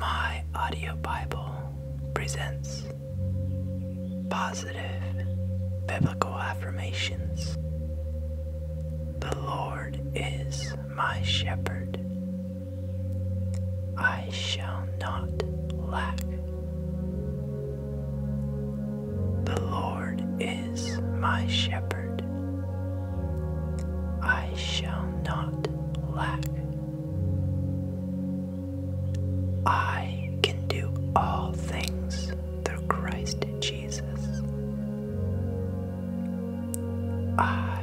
My Audio Bible presents positive biblical affirmations. The Lord is my shepherd. I shall not lack. The Lord is my shepherd. I shall not lack. I can do all things through Christ Jesus. I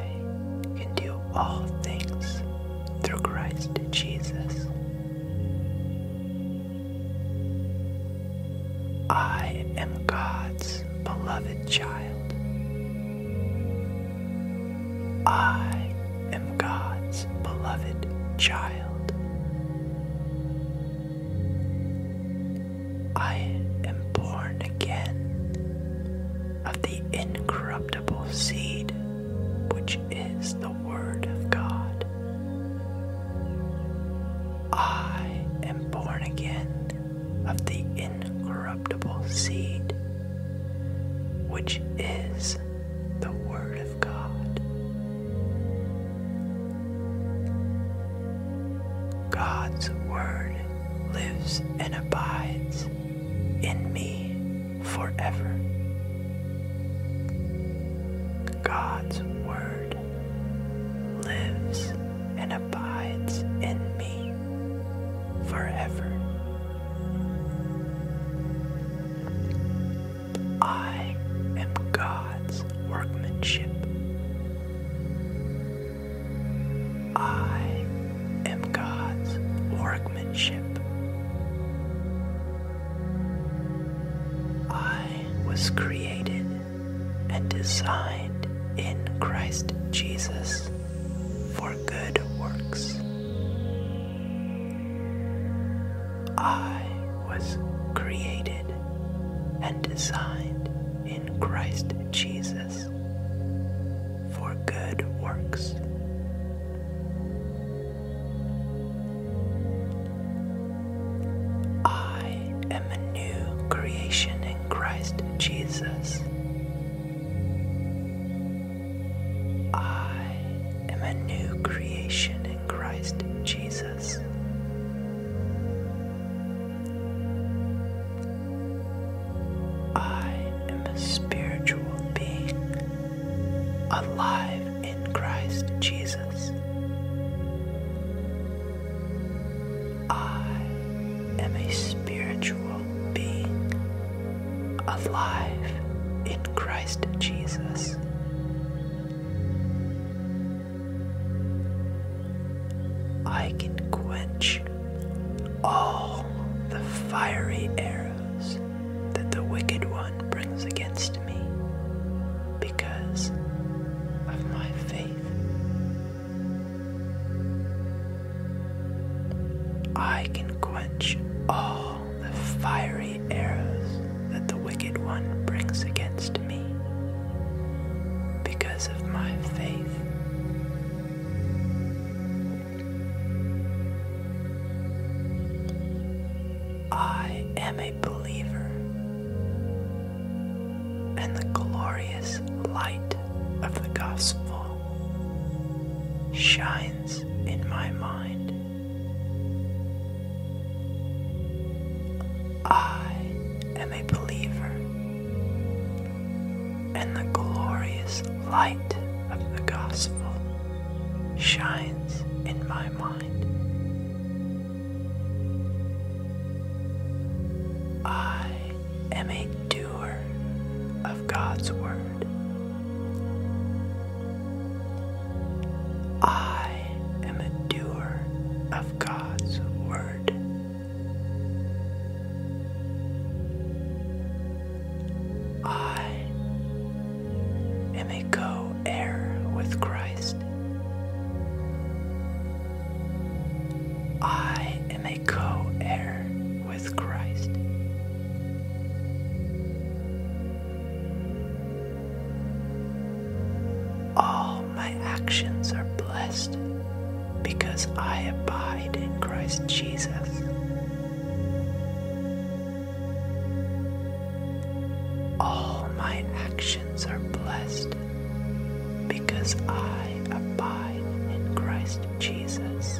can do all things through Christ Jesus. I am God's beloved child. I am God's beloved child. I am born again of the incorruptible seed, which is the Word of God. I am born again of the incorruptible seed, which is the Word of God. God's Word lives and abides in me forever. God's Word lives and abides in me forever. I am God's workmanship. I am God's workmanship. I was created and designed in Christ Jesus for good works. I was created and designed in Christ Jesus for good works. I am a new creation in Christ Jesus. I am a new creation in Christ Jesus. I am a spiritual being alive in Christ Jesus. I am a spiritual being alive in Christ Jesus. I can quench all the fiery arrows that the wicked one brings against me because of my faith. I can quench all the fiery arrows that the wicked one brings against me because of my faith. I am a believer, and the glorious light of the gospel shines in my mind. I am a believer, and the glorious light of the gospel shines in my mind. I am a doer of God's Word. I am a doer of God's Word. I am a co heir with Christ. I am a co heir with Christ. All my actions are blessed because I abide in Christ Jesus. All my actions are blessed because I abide in Christ Jesus.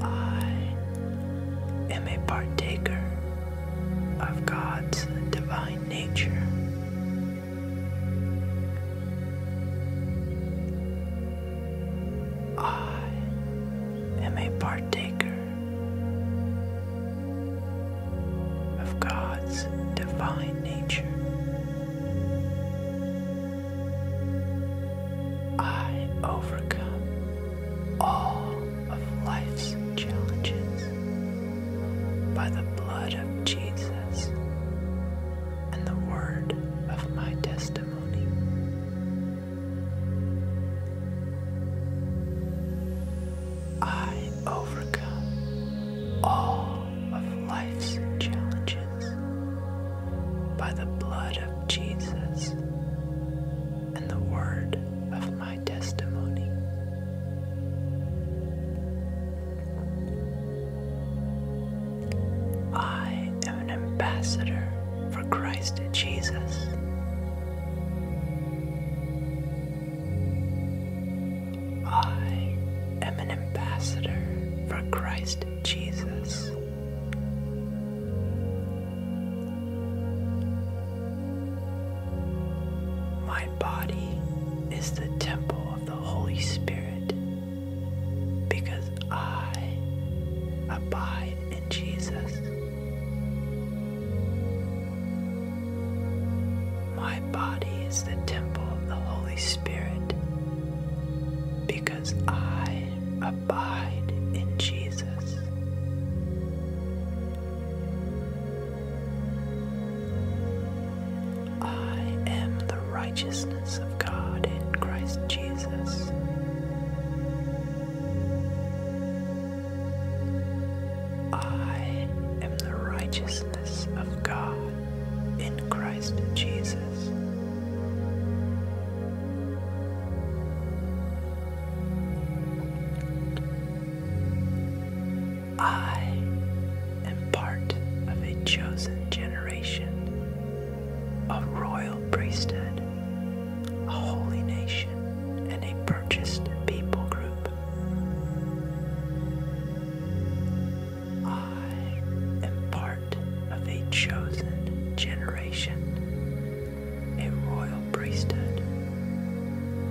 I am a partaker of God's divine nature. I am a partaker of God's divine nature. I overcome all of life's challenges by the blood of Jesus and the word of my testimony. I overcome all of life's challenges by the blood of Jesus and the word of my testimony. I am an ambassador for Christ Jesus. I am an ambassador for Christ Jesus. My body is the temple of the Holy Spirit because I abide in Jesus. My body is the temple of the Holy Spirit because I abide in Jesus. I am the righteousness of God in Christ Jesus. I am the righteousness of God in Christ Jesus. I am part of a chosen generation, a royal priesthood, a holy nation, and a purchased people group. I am part of a chosen generation, a royal priesthood,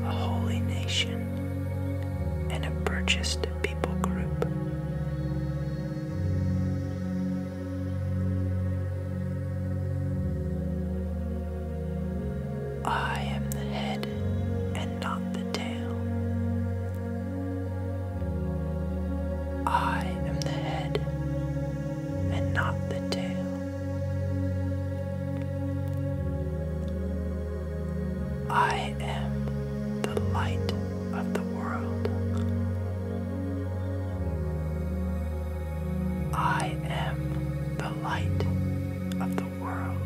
a holy nation, and a purchased people group. I am the head and not the tail. I am the head and not the tail. I am the light of the world. I am the light of the world.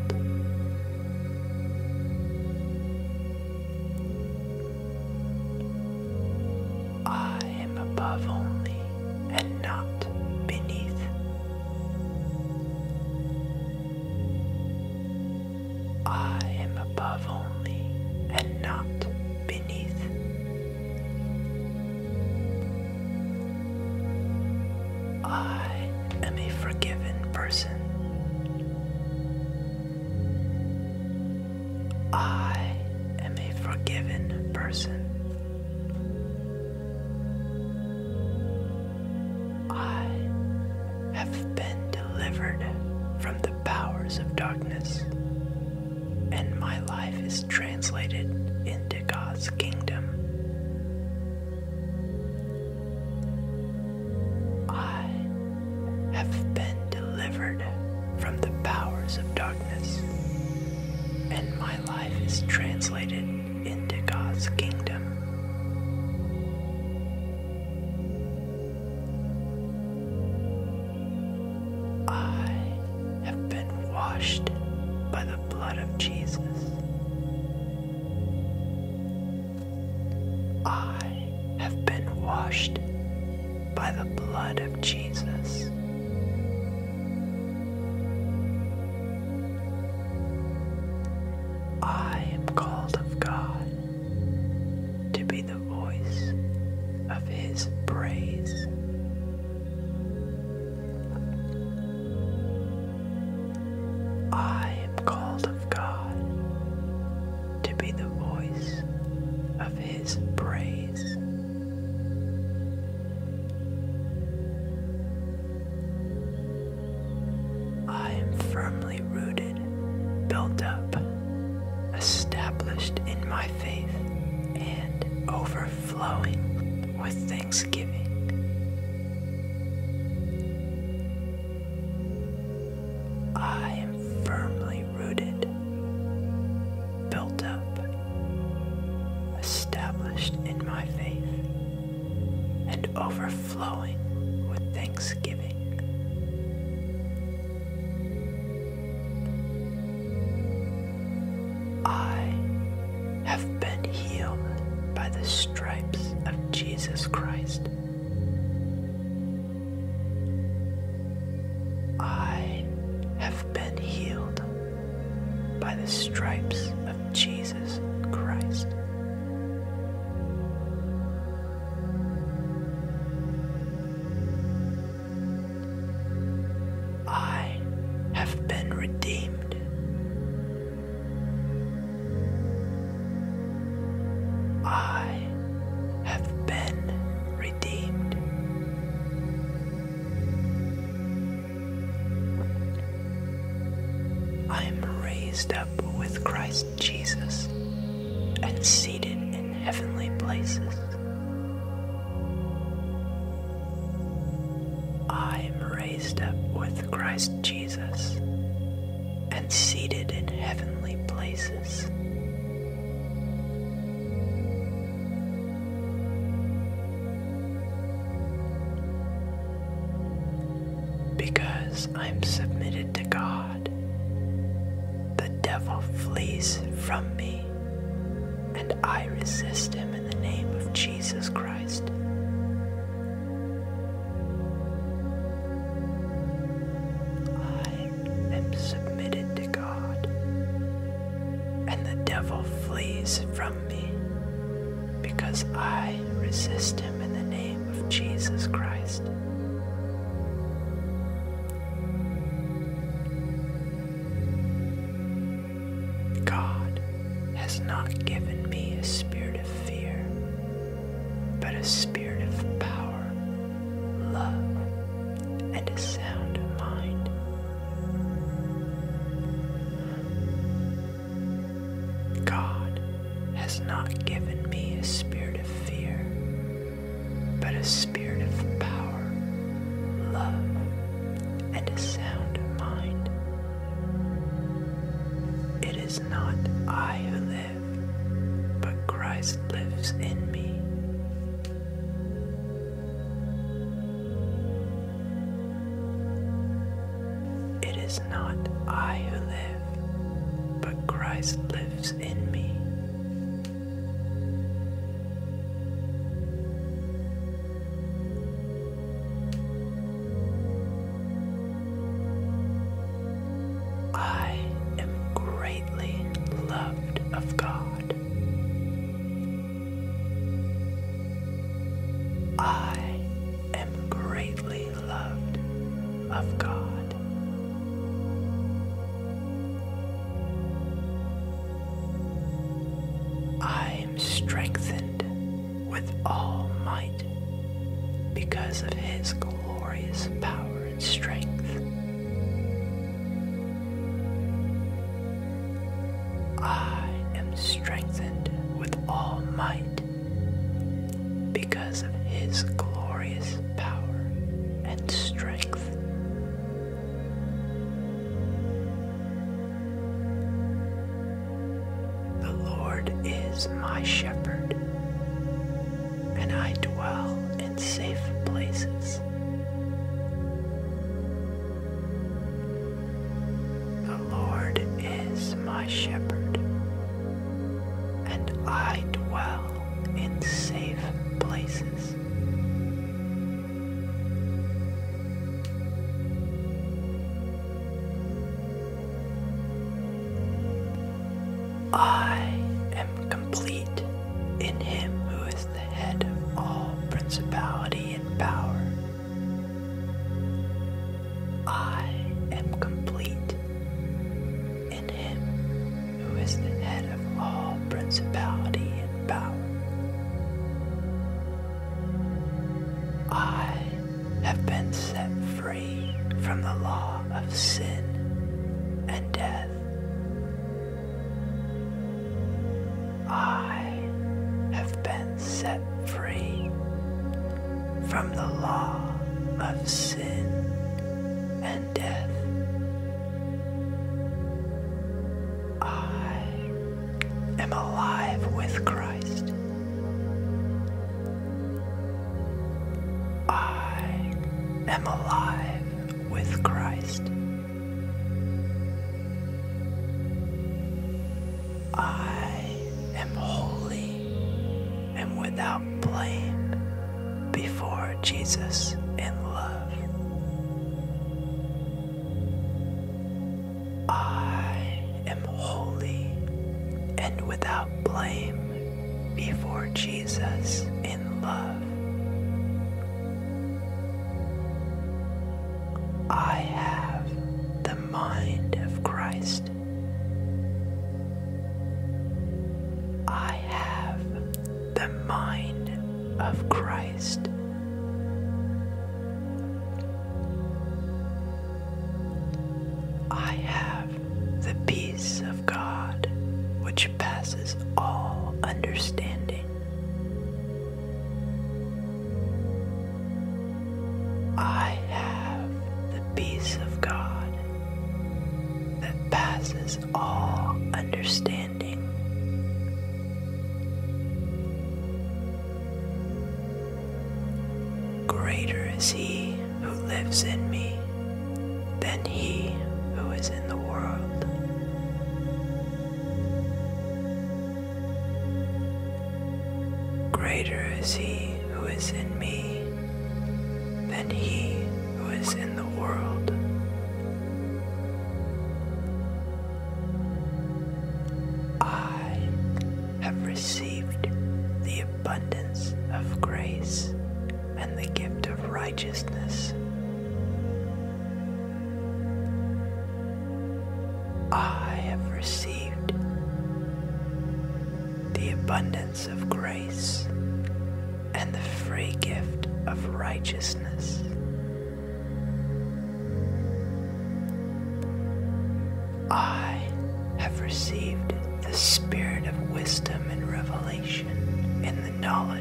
I am above only and not beneath. I am above only and not beneath. I am a forgiven person. I am a forgiven person. I have been delivered from the powers of darkness, and my life is translated into God's kingdom. I have been delivered from the powers of darkness, and my life is translated into God's kingdom. I have been washed by the blood of Jesus. I have been washed by the blood of Jesus. I am called of God to be the voice of His praise. I am called of God to be the voice of his praise. I am firmly rooted, built up, established in my faith, and overflowing with thanksgiving. I am firmly rooted, built up, established in my faith, and overflowing with thanksgiving. I have been healed by the stripes of Jesus Christ. I have been healed by the stripes of Jesus Christ. I have been redeemed. I have been I am raised up with Christ Jesus and seated in heavenly places. I am raised up with Christ Jesus and seated in heavenly places. Because I'm submitted to God, the devil flees from me, and I resist him in the name of Jesus Christ. I I am submitted to God. And the devil flees from me because I resist him in the name of Jesus Christ. God has not given me a spirit of fear, but a spirit of power love, and a sound mind. God has not given me a spirit of fear, but a spirit of power, love, and a sound mind. It is not I who live, but Christ lives in me. It is not I who live, but Christ lives in me. I am great greatly loved of God. I am greatly loved of God. I am strengthened with all might because of His glorious power and strength. I am strengthened with all might because of his glorious power and strength. The Lord is my shepherd and I dwell in safe places. The Lord is my shepherd, and I dwell in safe places. I am complete in Him who is the head of all principality and power. I am complete in him who is the head of all principality and power. I have been set free from the law of sin and death I have been set free from the law of sin and death. I am alive with Christ. I am alive with Christ. I am holy and without blame before Jesus in love. I am holy and without blame before Jesus in love. I have the mind of Christ. I have the mind of Christ. I have the peace of God which passes all understanding. I have the peace of God that passes all understanding. Greater is He who lives in me than He who is in the world. Greater is he who is in me than he who is in the world. I have received the abundance of grace and the gift of righteousness. I have received the abundance of grace and the free gift of righteousness. I have received the spirit of wisdom and revelation and the knowledge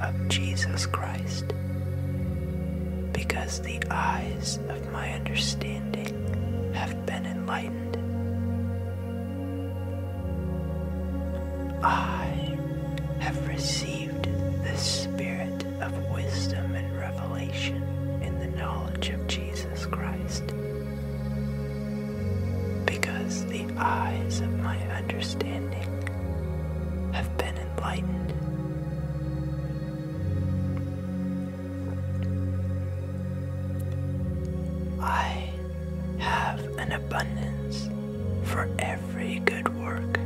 of Jesus Christ, because the eyes of my understanding have been enlightened. I have received the spirit of wisdom and revelation in the knowledge of Jesus Christ, because the eyes of my understanding have been enlightened. I have an abundance for every good work.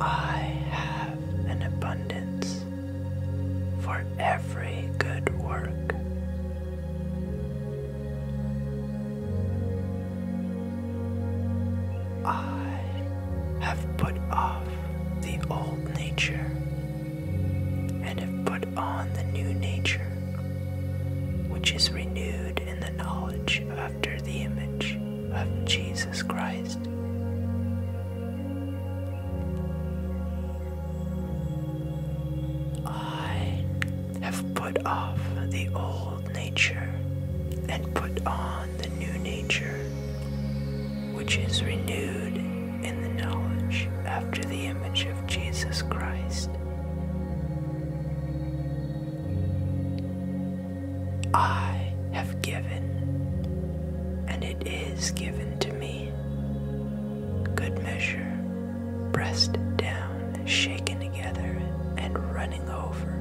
I have an abundance for every good work. I have put off the old nature and have put on the new nature, which is renewed in the knowledge after the image of Jesus Christ. I have put off the old nature and put on the new nature, which is renewed in the knowledge after the image of Jesus Christ. I have given, and it is given to me good measure, pressed down, shaken together, and running over.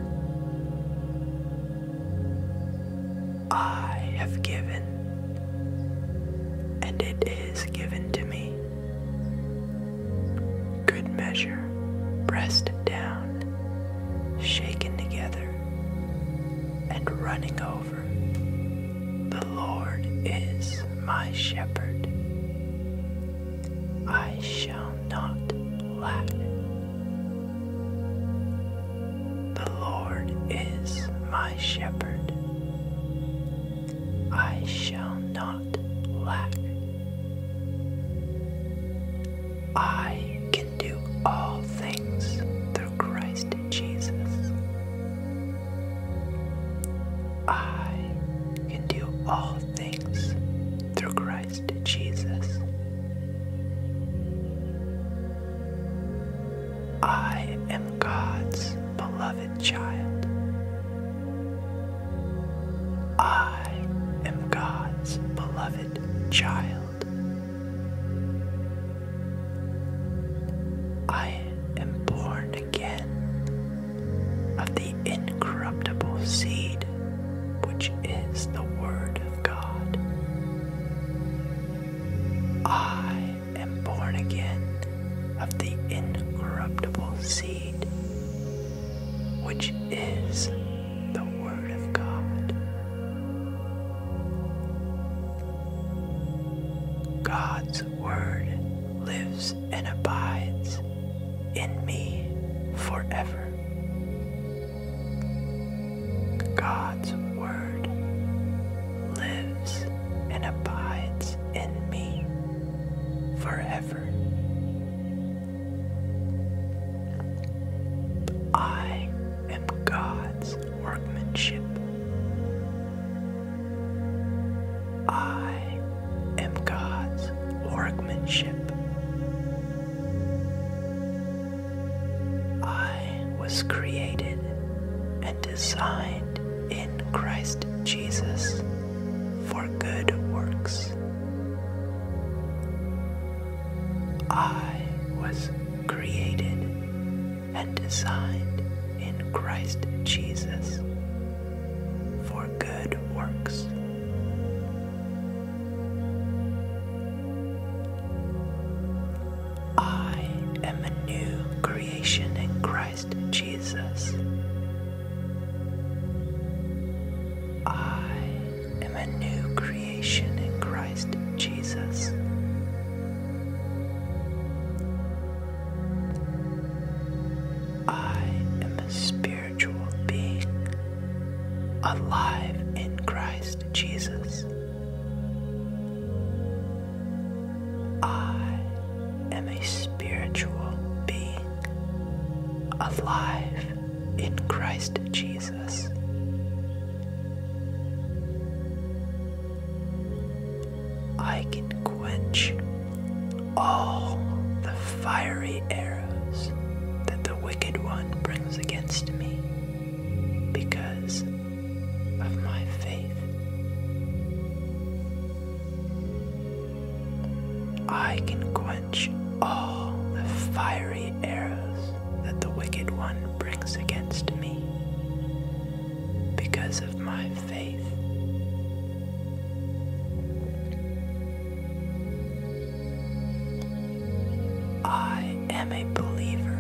I have given, and it is given to me. Good measure, pressed down, shaken together, and running over. The Lord is my shepherd. I shall not lack. The Lord is my shepherd. I shall not lack. I can do all things through Christ Jesus I can do all things through Christ Jesus. I am God's beloved child. I am God's beloved child. I am born again of the incorruptible seed, which is the Word of God. I am born again of the incorruptible seed, which is the Word of God. God's Word lives and abides in me forever. God's Word lives and abides in me forever. I am God's workmanship. I am God's workmanship. I was created and designed in Christ Jesus for good works. I was created and designed in Christ Jesus for good works. I am a new creation in Christ Jesus. I am a new creation in Christ Jesus. I am a spirit being alive in Christ Jesus. I am a spiritual being alive in Christ Jesus. I can quench all the fiery arrows that the wicked one brings against me because of my faith. I can quench all the fiery arrows that the wicked one brings against me because of my faith. I am a believer,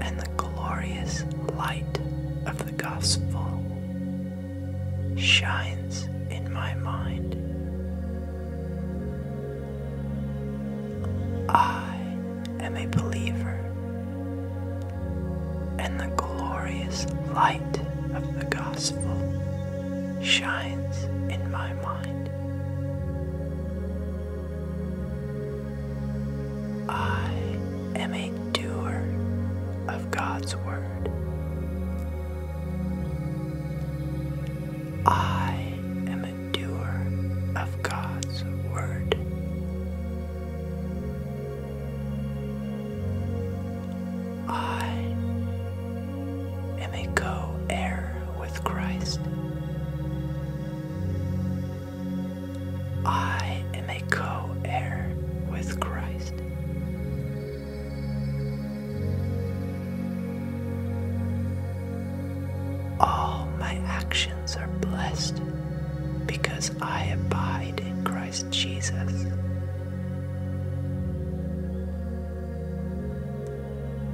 and the glorious light of the gospel shines in my mind. I am a believer, and the glorious light of the gospel shines in my mind. I am a doer of God's word. I am a doer of God's word. I am a co heir with Christ. I am a co heir with Christ. All my actions are blessed because I abide in Christ. Christ Jesus.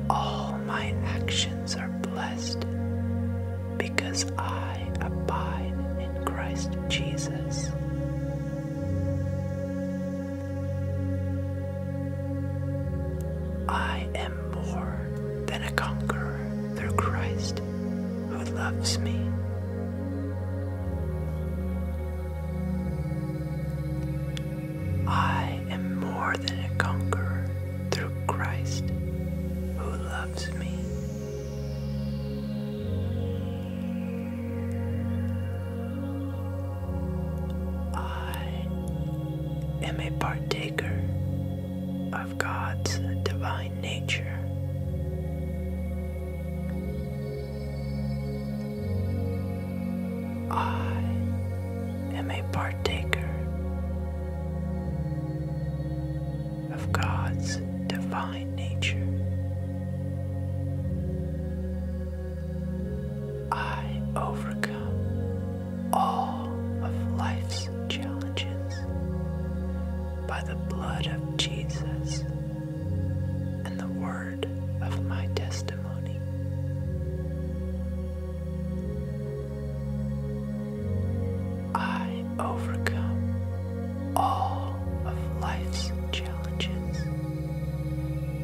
All my actions are blessed because I abide in Christ Jesus. I am more than a conqueror through Christ who loves me. I am more than a conqueror through Christ who loves me. I am a partaker of God's divine nature. I am a partaker of God's divine nature. I overcome all of life's challenges by the blood of Jesus and the word of my testimony. I overcome all of life's challenges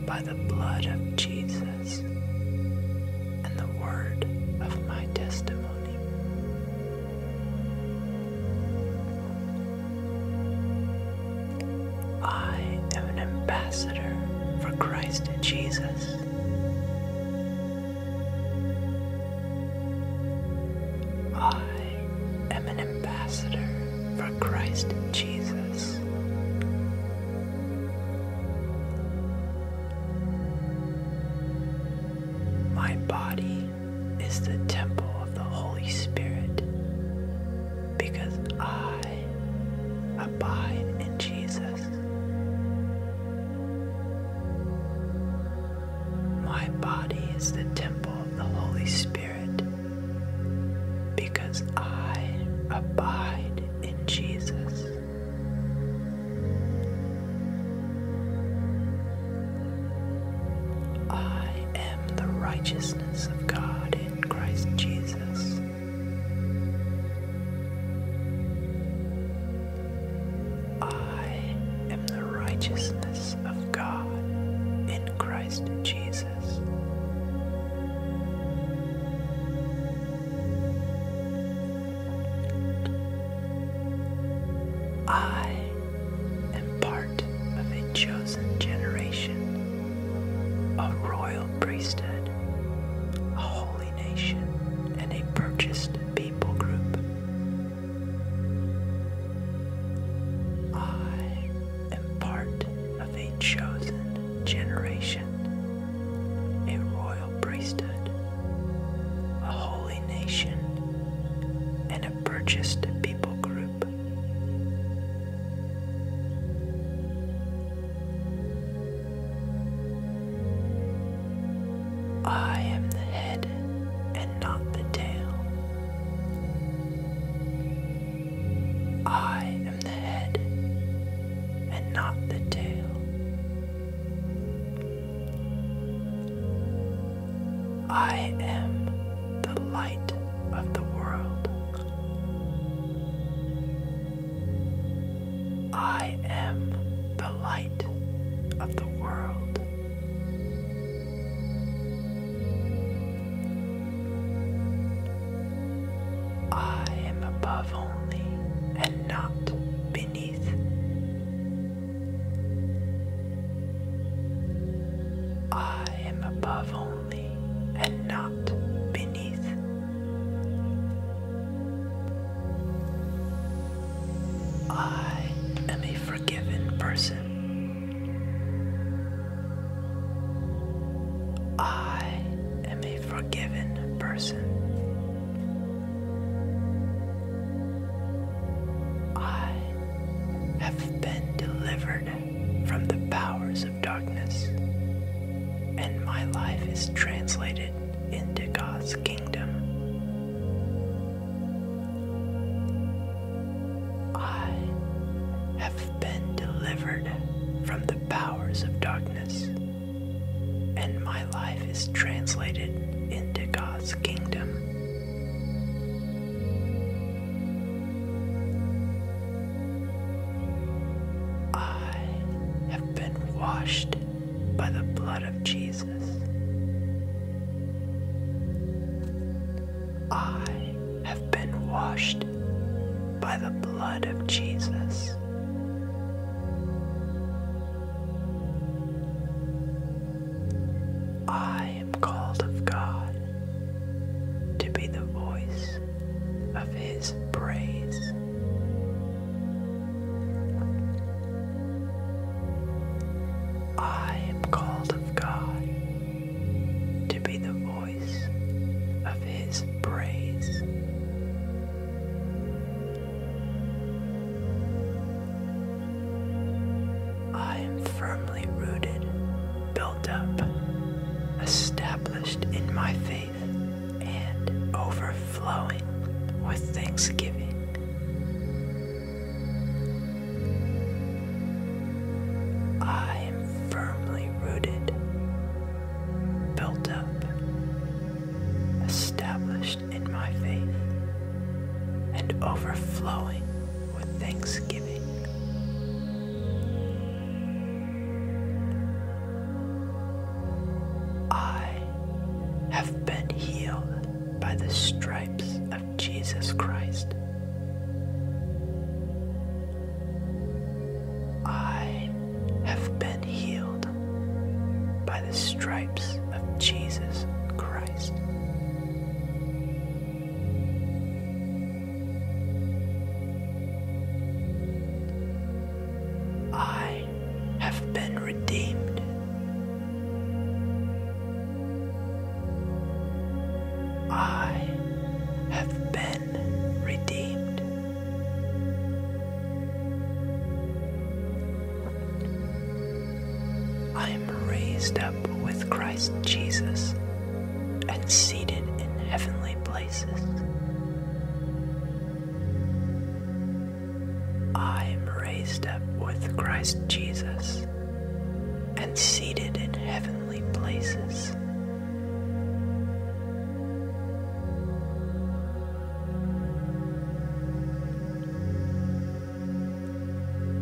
by the blood of Jesus and the word of my testimony. I am an ambassador for Christ Jesus. I am an ambassador for Christ Jesus. My body is the temple of the Holy Spirit because I abide in Jesus. My body is the temple of the Holy Spirit because I abide in Jesus. I am the righteousness of God in Christ Jesus. I am the righteousness of God in Christ Jesus. I and part of a chosen generation, a royal priesthood, a holy nation, and a purchased people group. I am part of a chosen generation, a royal priesthood, a holy nation, and a purchased people group. I am the head and not the tail. I am the head and not the tail. I am the light of the world. I am the light of the world. I am above only and not beneath. I am above only and not beneath. I am a forgiven person. I am a forgiven person. I have been delivered from the powers of darkness, and my life is translated into God's kingdom. I have been delivered from the powers of darkness, and my life is translated into God's kingdom. I have been washed by the blood of Jesus. I have been washed by the blood of Jesus. I am called of God to be the voice of His praise. I am called of God to be the voice of His praise. I am firmly rooted built up, established in my faith, and overflowing with thanksgiving. I am firmly rooted, built up, established in my faith, and overflowing with thanksgiving. I have been healed by the stripes of Jesus Christ. I have been healed by the stripes of Jesus Christ. I have been redeemed. I have been redeemed. I am raised up with Christ Jesus and seated in heavenly places. I am raised up with Christ Jesus and seated in heavenly places.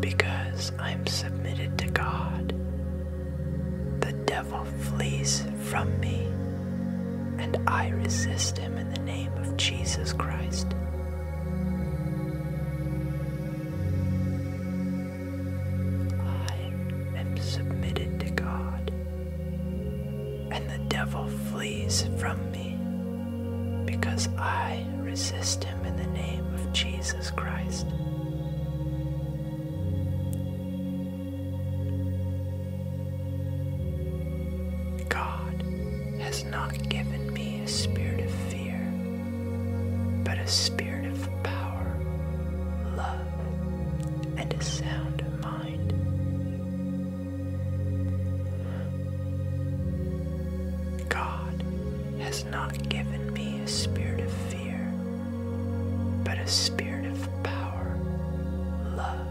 Because I am submitted to God, the devil now flees from me, and I resist him in the name of Jesus Christ. I am submitted to God, and the devil flees from me because I resist him in the name of Jesus Christ. God has not given me a spirit of fear, but a spirit of power, love, and a sound mind. God has not given me a spirit of fear but a spirit of power, love,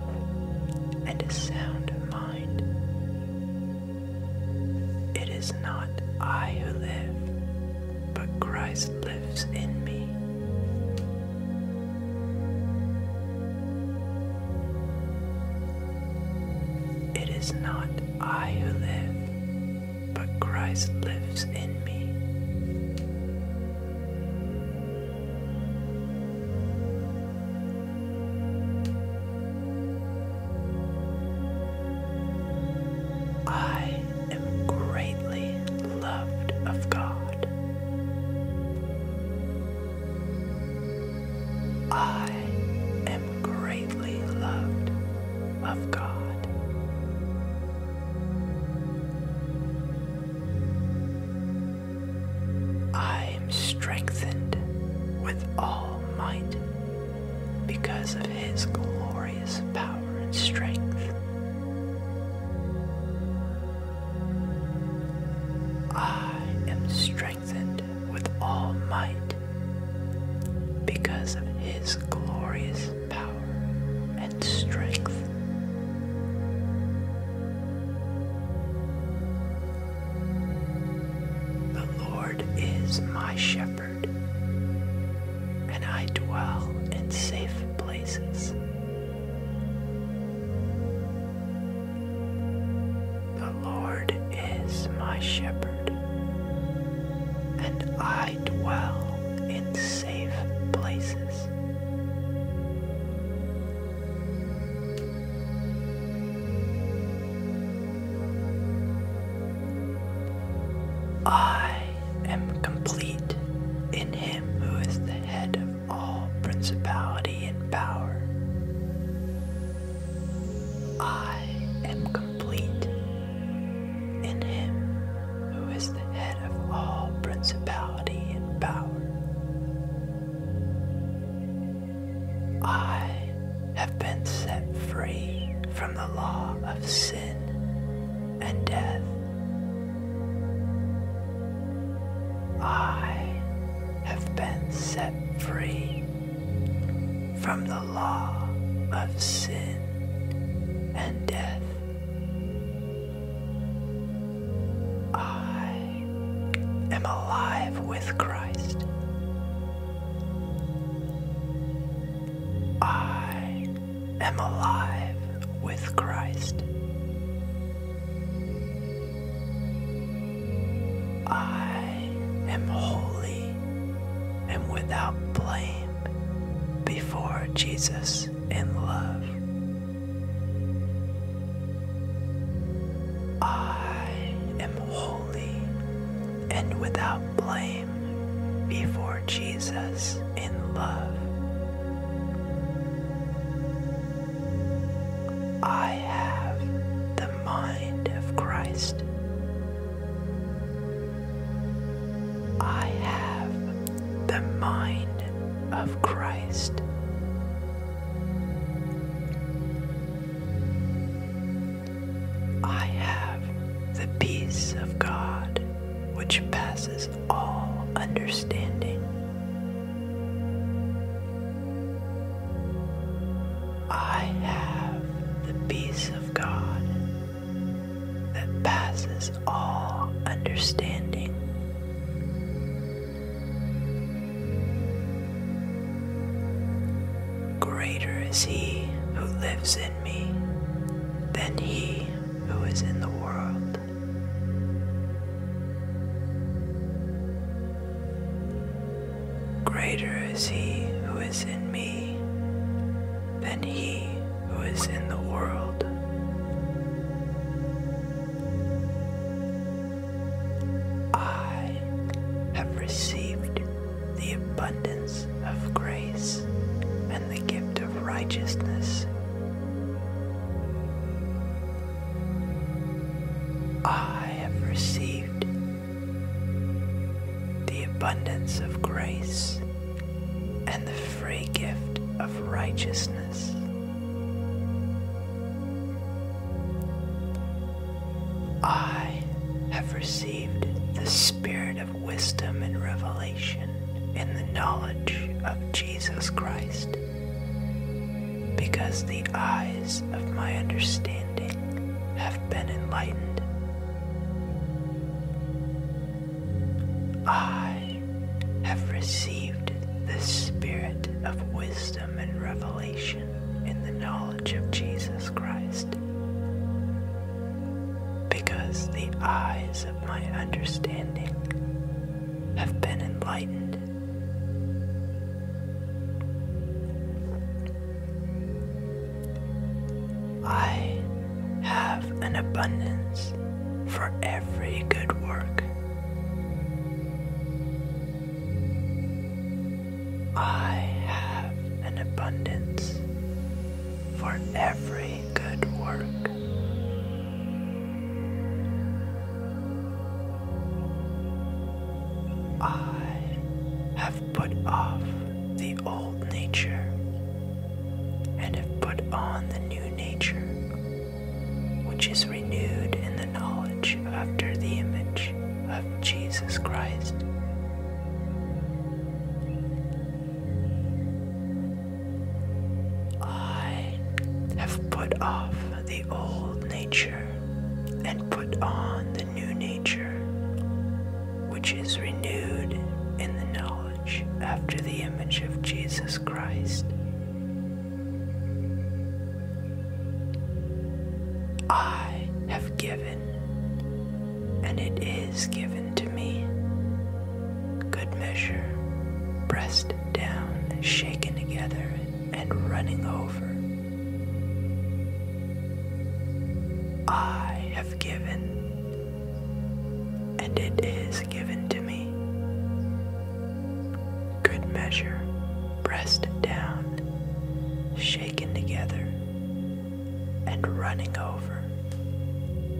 and a sound mind. It is not I who live, but Christ lives in me. It is not I who live, but Christ lives in me. I am greatly loved of God. I am greatly loved of God. I am strengthened with all might because of his glorious power and strength. I am strengthened with all might because of his glorious power and strength. The Lord is my shepherd, and I dwell in safe places. The Lord is my shepherd, and I dwell in safe places. I am complete in him who is the head of all principality and power. I am complete in him who is the head of all principality and power. I have been set free from the law of sin and death. I have been set free from the law of sin and death. I am alive with Christ. I am alive with Christ. I am holy and without blame before Jesus and love. I am holy and without blame before Jesus in love. I have the mind of Christ. I have the mind of Christ. I have the peace of God which passes all understanding. I have the peace of God that passes all understanding. Greater is he who lives in me than he who is in the world. Greater is he who is in me than he who is in the world. I have received the abundance of grace and the gift of righteousness. I have received the abundance of grace and the free gift of righteousness. I have received the spirit of wisdom and revelation in the knowledge of Jesus Christ, because the eyes of my understanding have been enlightened. I have received the spirit of wisdom and revelation in the knowledge of Jesus Christ, because the eyes of my understanding have been enlightened. I have an abundance for every good work. I have an abundance for every good work. I have put off the old nature and have put on the new nature which is renewed in the knowledge after the image of Jesus Christ. I have put off the old nature and put on the new nature, which is renewed in the knowledge after the image of Jesus Christ. I have given, and it is given to me. Good measure, pressed down, shaken together, and running over. I have given, and it is given to me. Good measure, pressed down, shaken together, and running over.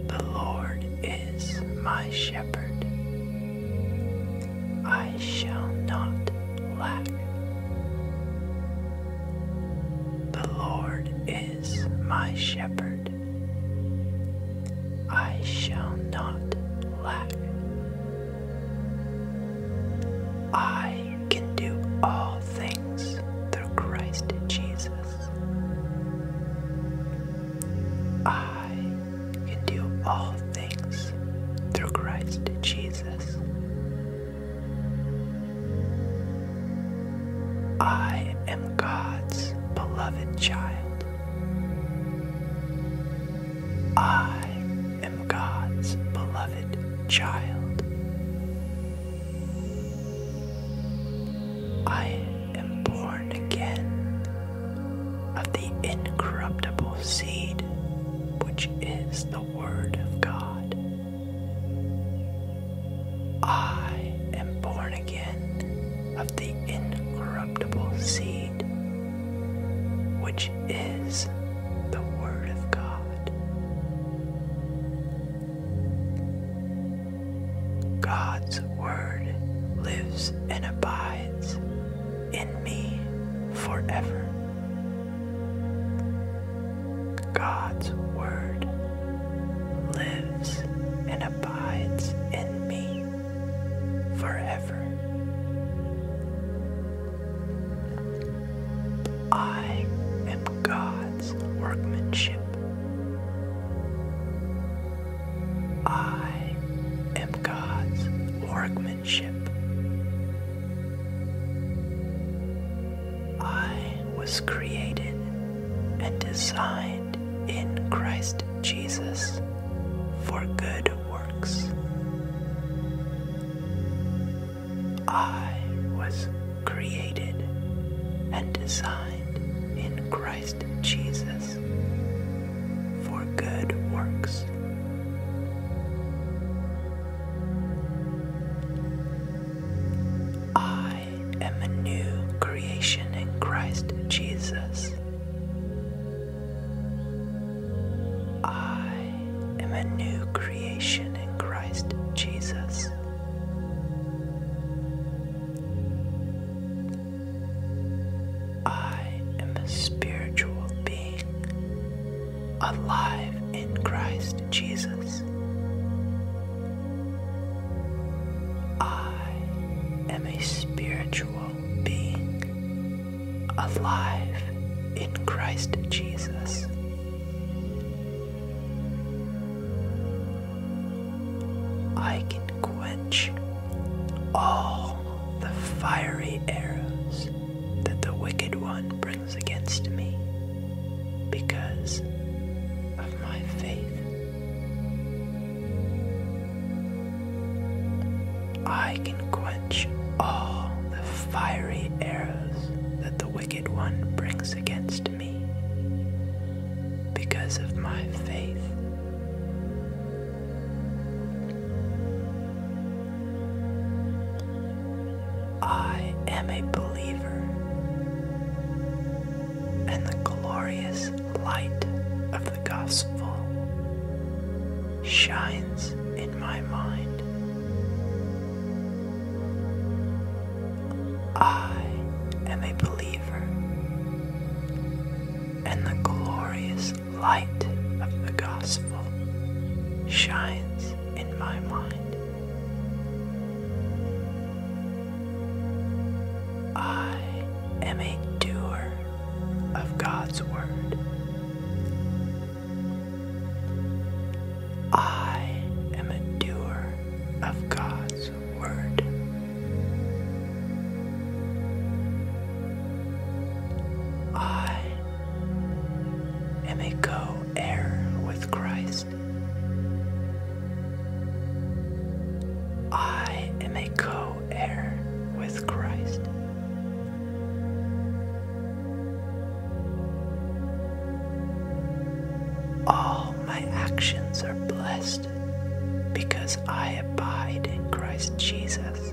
The Lord is my shepherd. I shall not lack. The Lord is my shepherd. I shall not lack. I can do all things through Christ Jesus. I can do all things through Christ Jesus. I am God's beloved child. I am God's beloved child. I am born again of the incorruptible seed, which is the Word of God. I am born again of the incorruptible seed, which is the Word of God. God's Word lives and abides in me forever. God's Word lives and abides in me forever. I am God's workmanship. I am God's workmanship. I was created and designed in Christ Jesus for good works. I was created and designed in Christ Jesus for good works. I am a new creation in Christ Jesus. I am a new creation in Christ Jesus. I am a spiritual being alive in Christ Jesus. I am a spiritual being alive in Christ Jesus. I can quench all the fiery arrows that the wicked one brings against me because of my faith. I can quench all the fiery arrows that the wicked one brings against me because of my faith. I am a believer, and the glorious light of the gospel shines in my mind. I am a believer, and the glorious light of the gospel shines in my mind. I am a doer of God's Word. I am a doer of God's Word. I am a co heir with Christ. I am a co with Christ. All my actions are blessed because I abide in Christ Jesus.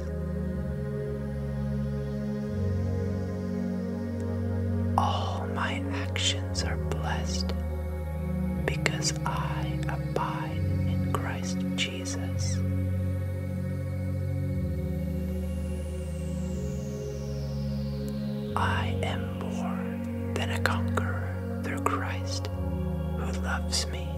All my actions are blessed because I abide in Christ Jesus. I am more than a conqueror through Christ who loves me.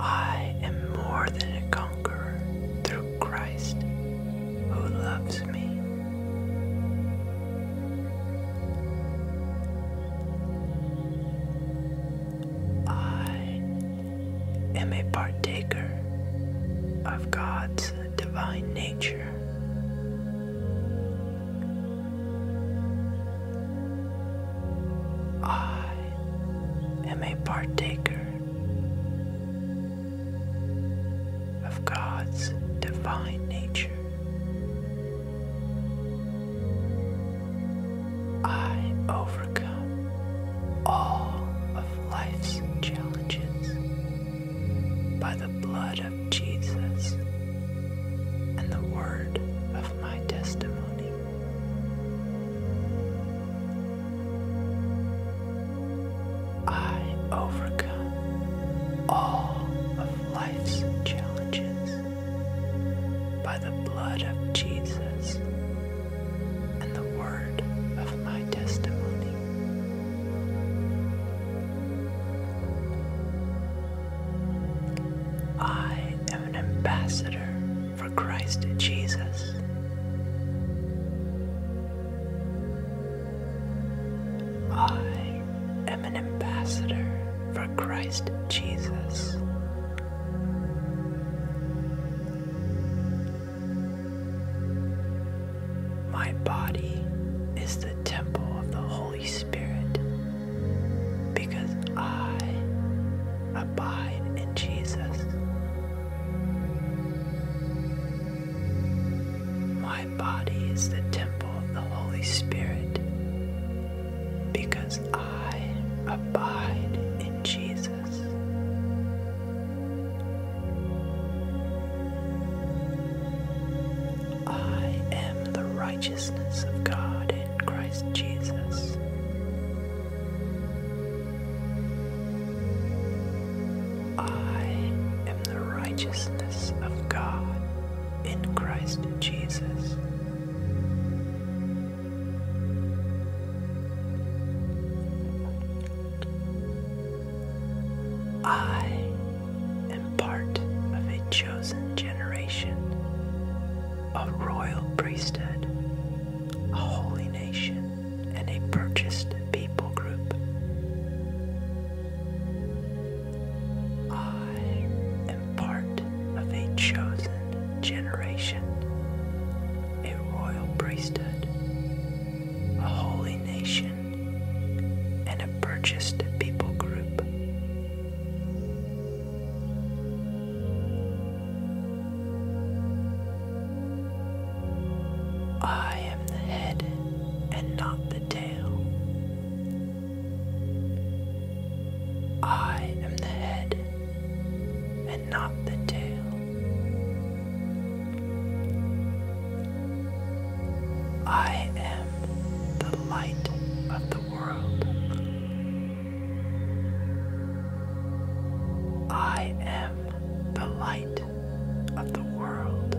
I am more than a conqueror through Christ who loves me. I am a partaker of God's divine nature. I am a partaker of God's divine nature. I overcome all of life's challenges by the blood of Jesus and the word of my testimony. I overcome all of life's challenges by the blood of Jesus and the word of my testimony. I am an ambassador for Christ Jesus. I I am an ambassador for Christ Jesus. My body is the temple of the Holy Spirit because I abide in Jesus. My my body is the temple of the Holy Spirit because I abide in Jesus. I am the righteousness of God in Christ Jesus. I am the righteousness of God in Christ Jesus. I am part of a chosen generation, a royal priesthood, a holy nation, and a purchased people group. I am part of a chosen generation, a royal priesthood, a holy nation, and a purchased people group. I am the head and not the tail. I am the head and not the tail. I am the light of the world. I am the light of the world.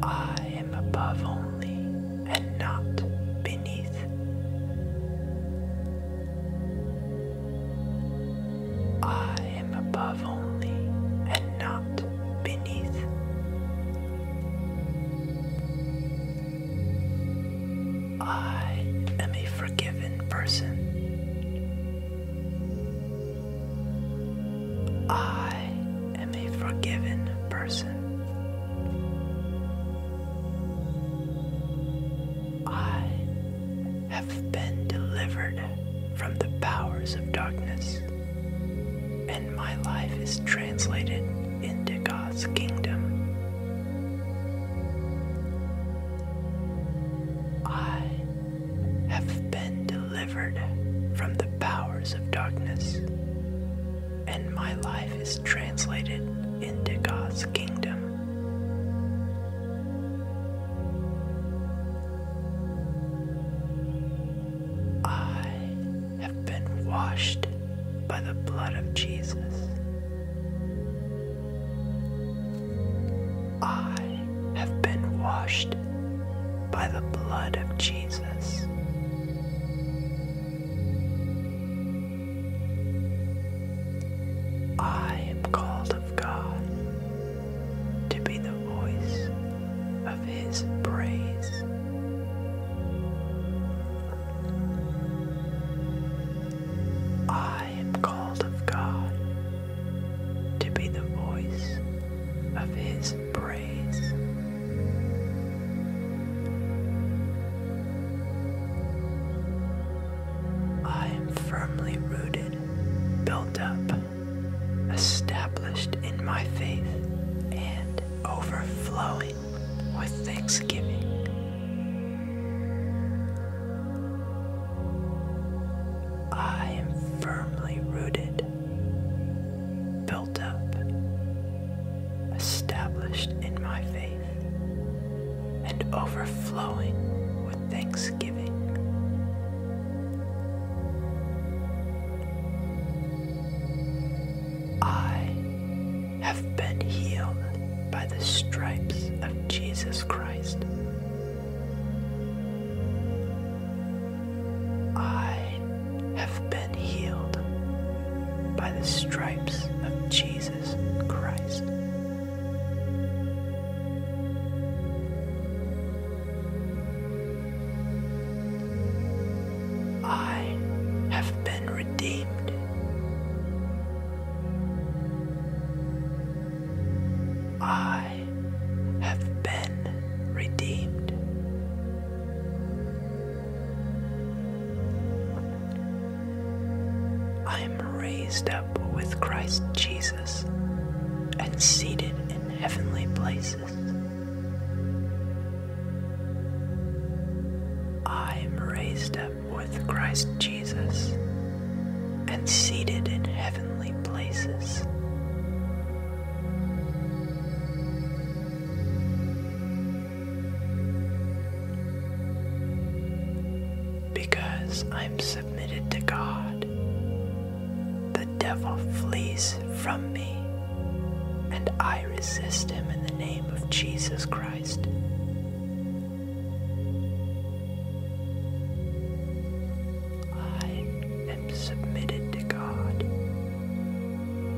I am above only and not beneath. I am above only and not beneath. I am a forgiven person. I am a forgiven person. I have been delivered from the powers of darkness, and my life is translated into God's kingdom. I have been delivered from the powers of darkness, and my life is translated into God's kingdom. I have been washed by the blood of Jesus. I have been washed by the blood of Jesus. I am called of God to be the voice of His praise. I am called of God to be the voice of his praise. I am firmly rooted, built up, established in my faith, and overflowing with thanksgiving. I am firmly rooted, built up, established in my faith, and overflowing with thanksgiving. I have been healed by the stripes of Jesus Christ. I have been healed by the stripes of Jesus Christ. I have been redeemed. I I have been redeemed. I am raised up with Christ Jesus and seated in heavenly places. I am raised up with Christ Jesus and seated in heavenly heavenly places. Because I'm submitted to God, the devil flees from me, and I resist him in the name of Jesus Christ. I and submitted to God,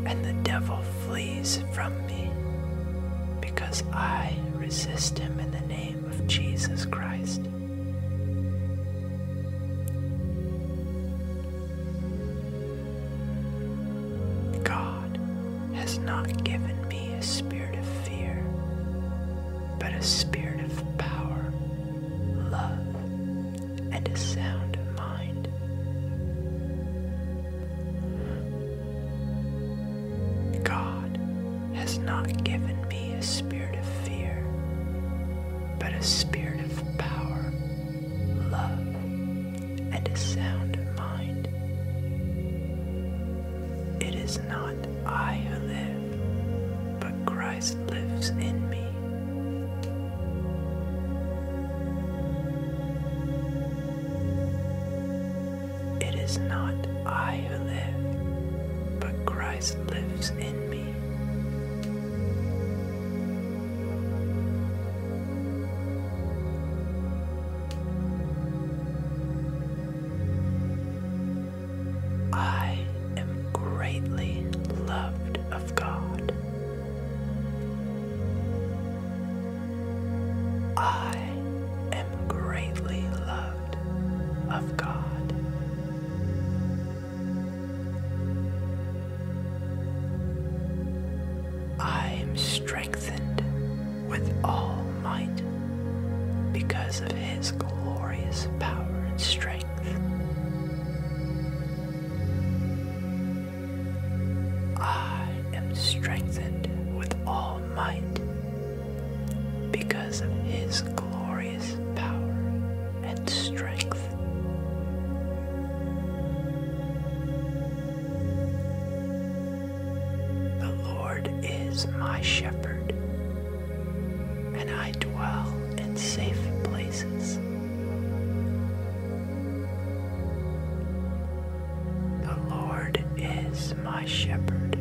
and the devil flees from me, because I resist him in the name of Jesus Christ. God has not given me a spirit of fear, but a spirit of power love, and a sound mind. God has not given me a spirit of fear, but a spirit of power, love, and a sound mind. It is not I who live but Christ lives in me. It is not I who live, but Christ lives in me. I am greatly loved of God. I am greatly loved of God. I am strengthened with all might because of His glorious power and strength. I am strengthened with all might because of his glorious power and strength. The Lord is my shepherd and I dwell in safe places. The Lord is my shepherd,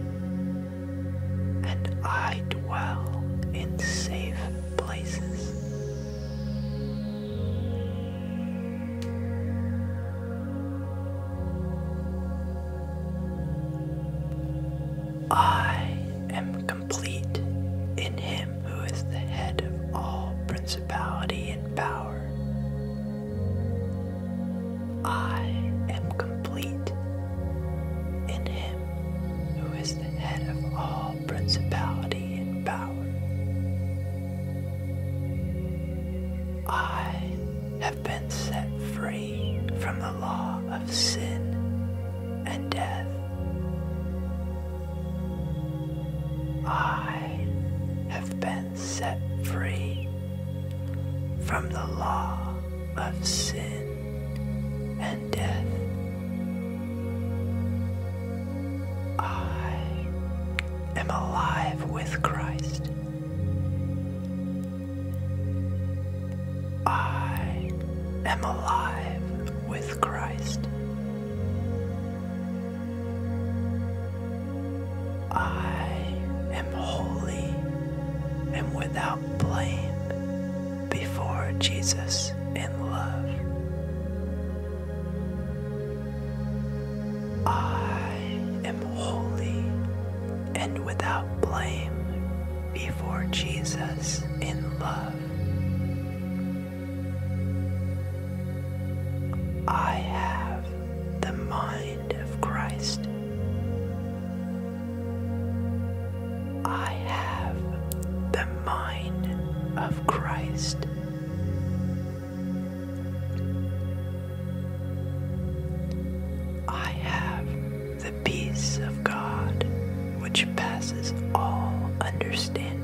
and I dwell in safe places. I am complete in him who is the head of all principality and power. I am complete in him who is the head of all principality and power. I have been set free from the law of sin and death I have been set free from the law of sin and death. I am alive with Christ. I am alive with with Christ. I am holy and without blame before Jesus in love. I am holy and without blame before Jesus in love. I have the mind of Christ. I have the mind of Christ. I have the peace of God which passes all understanding.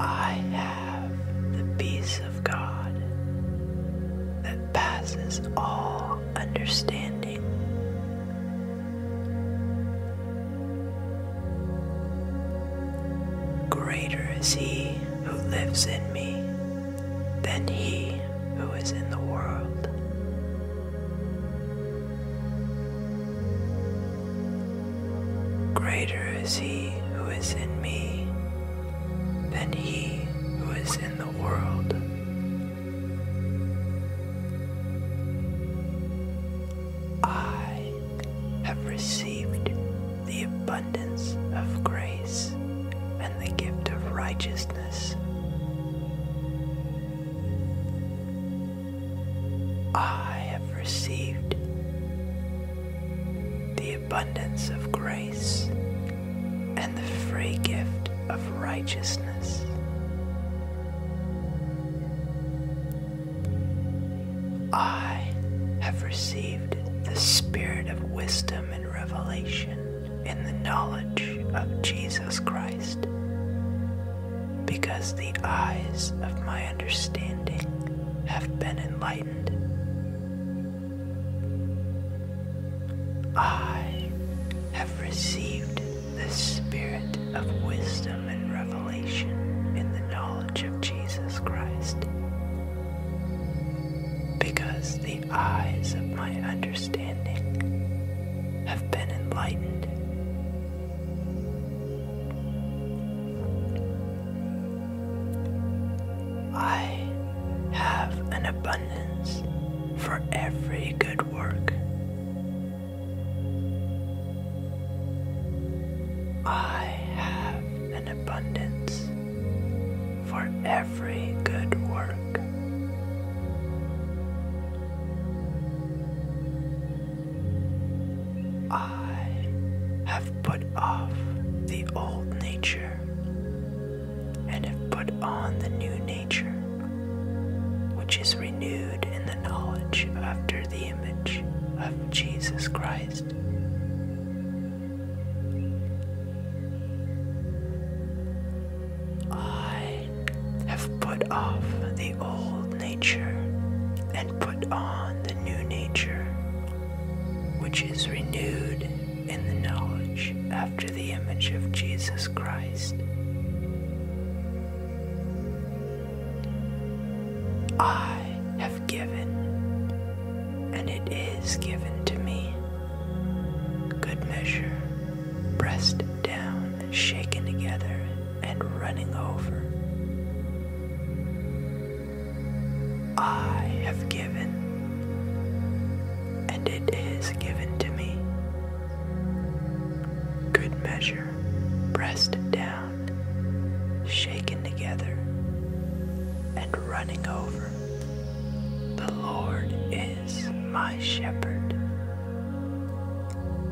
I have the peace of God that passes all understanding. Greater is He who lives in me than he who is in the world. Greater is he who is in me than he who is in the world. I have received the abundance of grace and the gift of righteousness. I have received the abundance of grace and the free gift of righteousness. I have received the spirit of wisdom and revelation in the knowledge of Jesus Christ, because the eyes of my understanding have been enlightened. I have received the spirit of wisdom and revelation in the knowledge of Jesus Christ, because the eyes of my understanding have been enlightened. I have an abundance for every good work. I have an abundance for every good work. I have put off the old nature and have put on the new nature, which is renewed in the knowledge after the image of Jesus Christ. I have put off the old nature and put on the new nature, which is renewed in the knowledge after the image of Jesus Christ. I have given, and it is given to me. Good measure, breast down, shaken together, and running over. I have given, and it is given to me. Good measure, pressed down, shaken together, and running over. The Lord is my shepherd.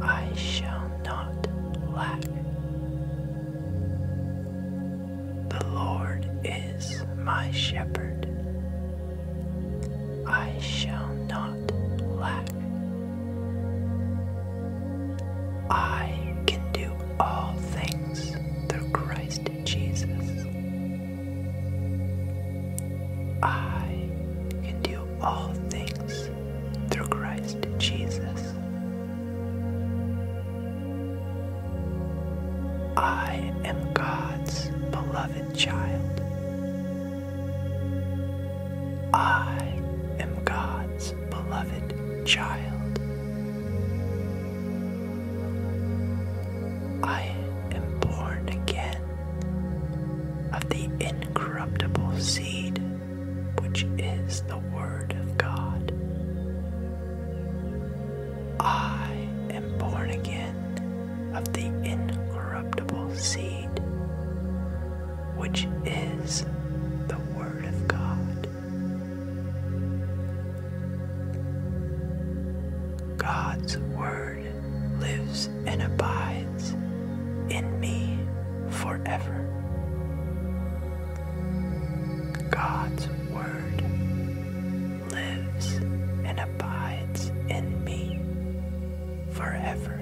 I shall not lack. The Lord is my shepherd. I shall not lack. I can do all things through Christ Jesus I can do all things through Christ Jesus. I am God's beloved child. I am God's beloved child. I am born again of the incorruptible seed, which is the Word of God. I am born again of the incorruptible seed, which is the Word of God. God's Word lives and abides in me forever. God's Word lives and abides in me forever.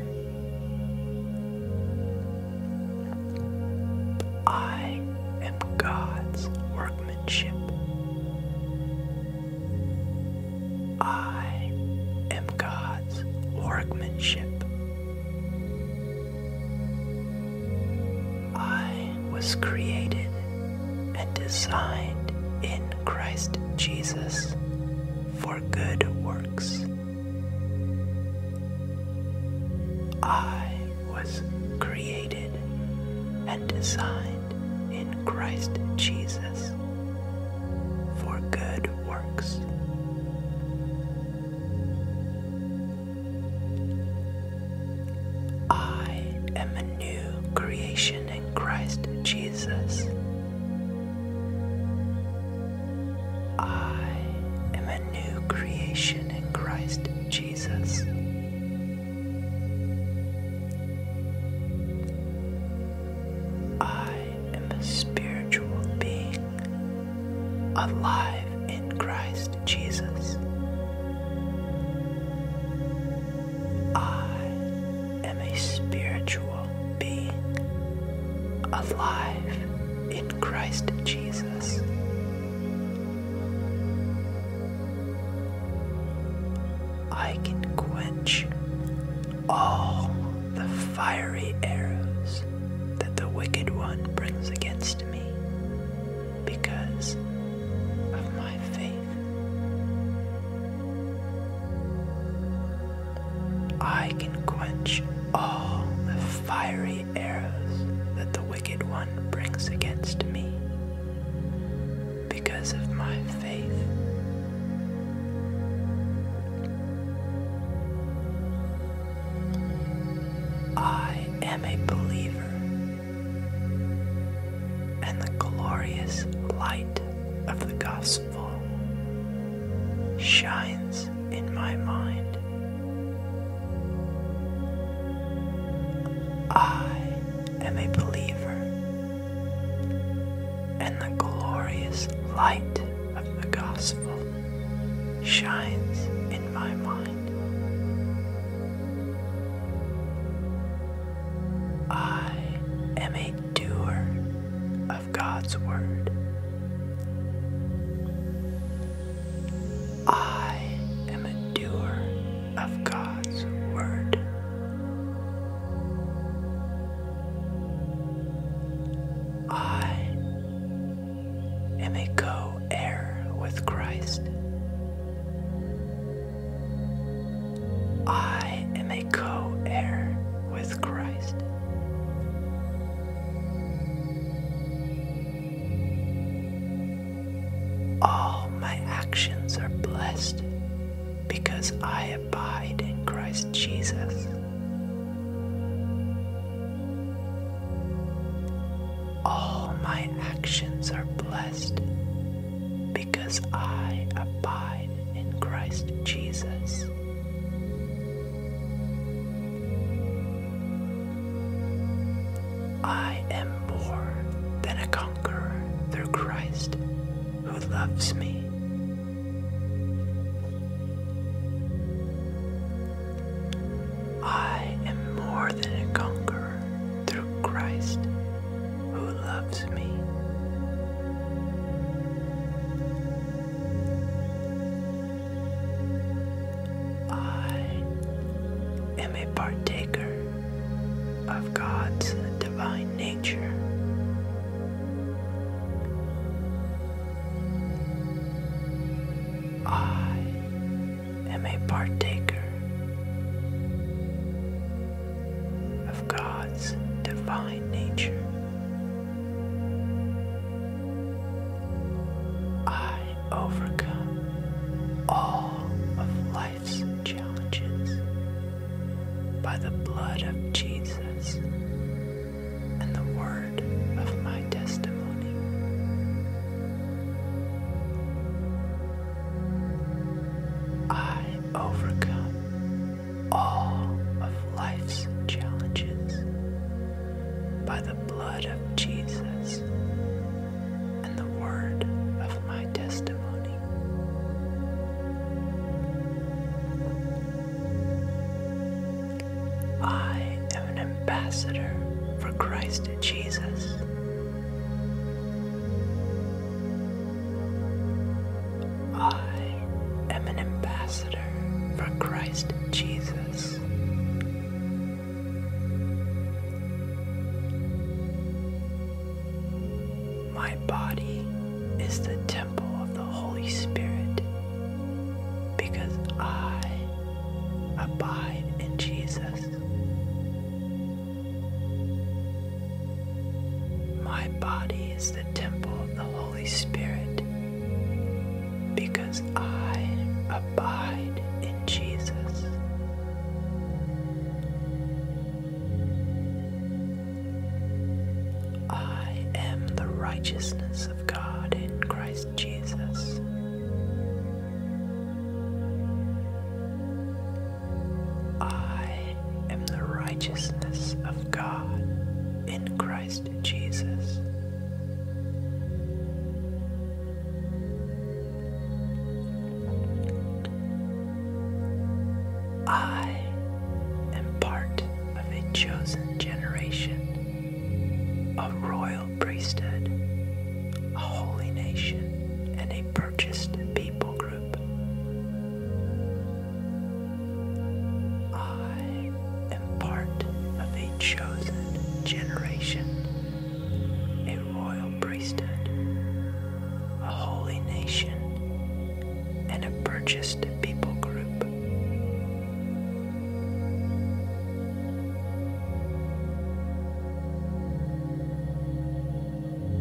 I am God's workmanship. I am God's workmanship. I was created and designed in Christ Jesus for good works. I was created and designed in Christ Jesus for good works. I am a new creation in Christ Jesus. I am a new creation in Christ Jesus. I am a spiritual being, alive in Christ Jesus. I am a spiritual being, alive in Christ Jesus. I can quench all the fiery arrows that the wicked one brings against me because of my faith. I can quench all the fiery arrows that the wicked one brings against me because of my I am a believer, and the glorious light of the gospel shines in my mind. I am a believer and the glorious light of the gospel shines in my mind. I am a doer of God's word. I am a doer of God's word. I am a co heir with Christ. I am a co heir with Christ. All my actions are blessed because I have abide in Christ Jesus. All my actions are blessed because I abide in Christ Jesus. I am more than a conqueror through Christ who loves me I am more than a conqueror through Christ who loves me. I am a partaker of God's divine nature I am a partaker of God's divine nature. I overcome all of life's challenges by the blood of Jesus and the word of my testimony. I overcome all of life's challenges by the blood of Jesus and the word of my testimony. I am an ambassador for Christ Jesus. I am an ambassador for Christ Jesus. My body is the temple of the Holy Spirit because I abide in Jesus. My body is the temple of the Holy Spirit because I abide in Jesus. I am the righteousness of God in Christ Jesus. I am the righteousness of God in Christ Jesus. I am part of a chosen generation, a royal priesthood, a holy nation, and a purchased people group. I am part of a chosen generation, a royal priesthood, a holy nation, and a purchased people group.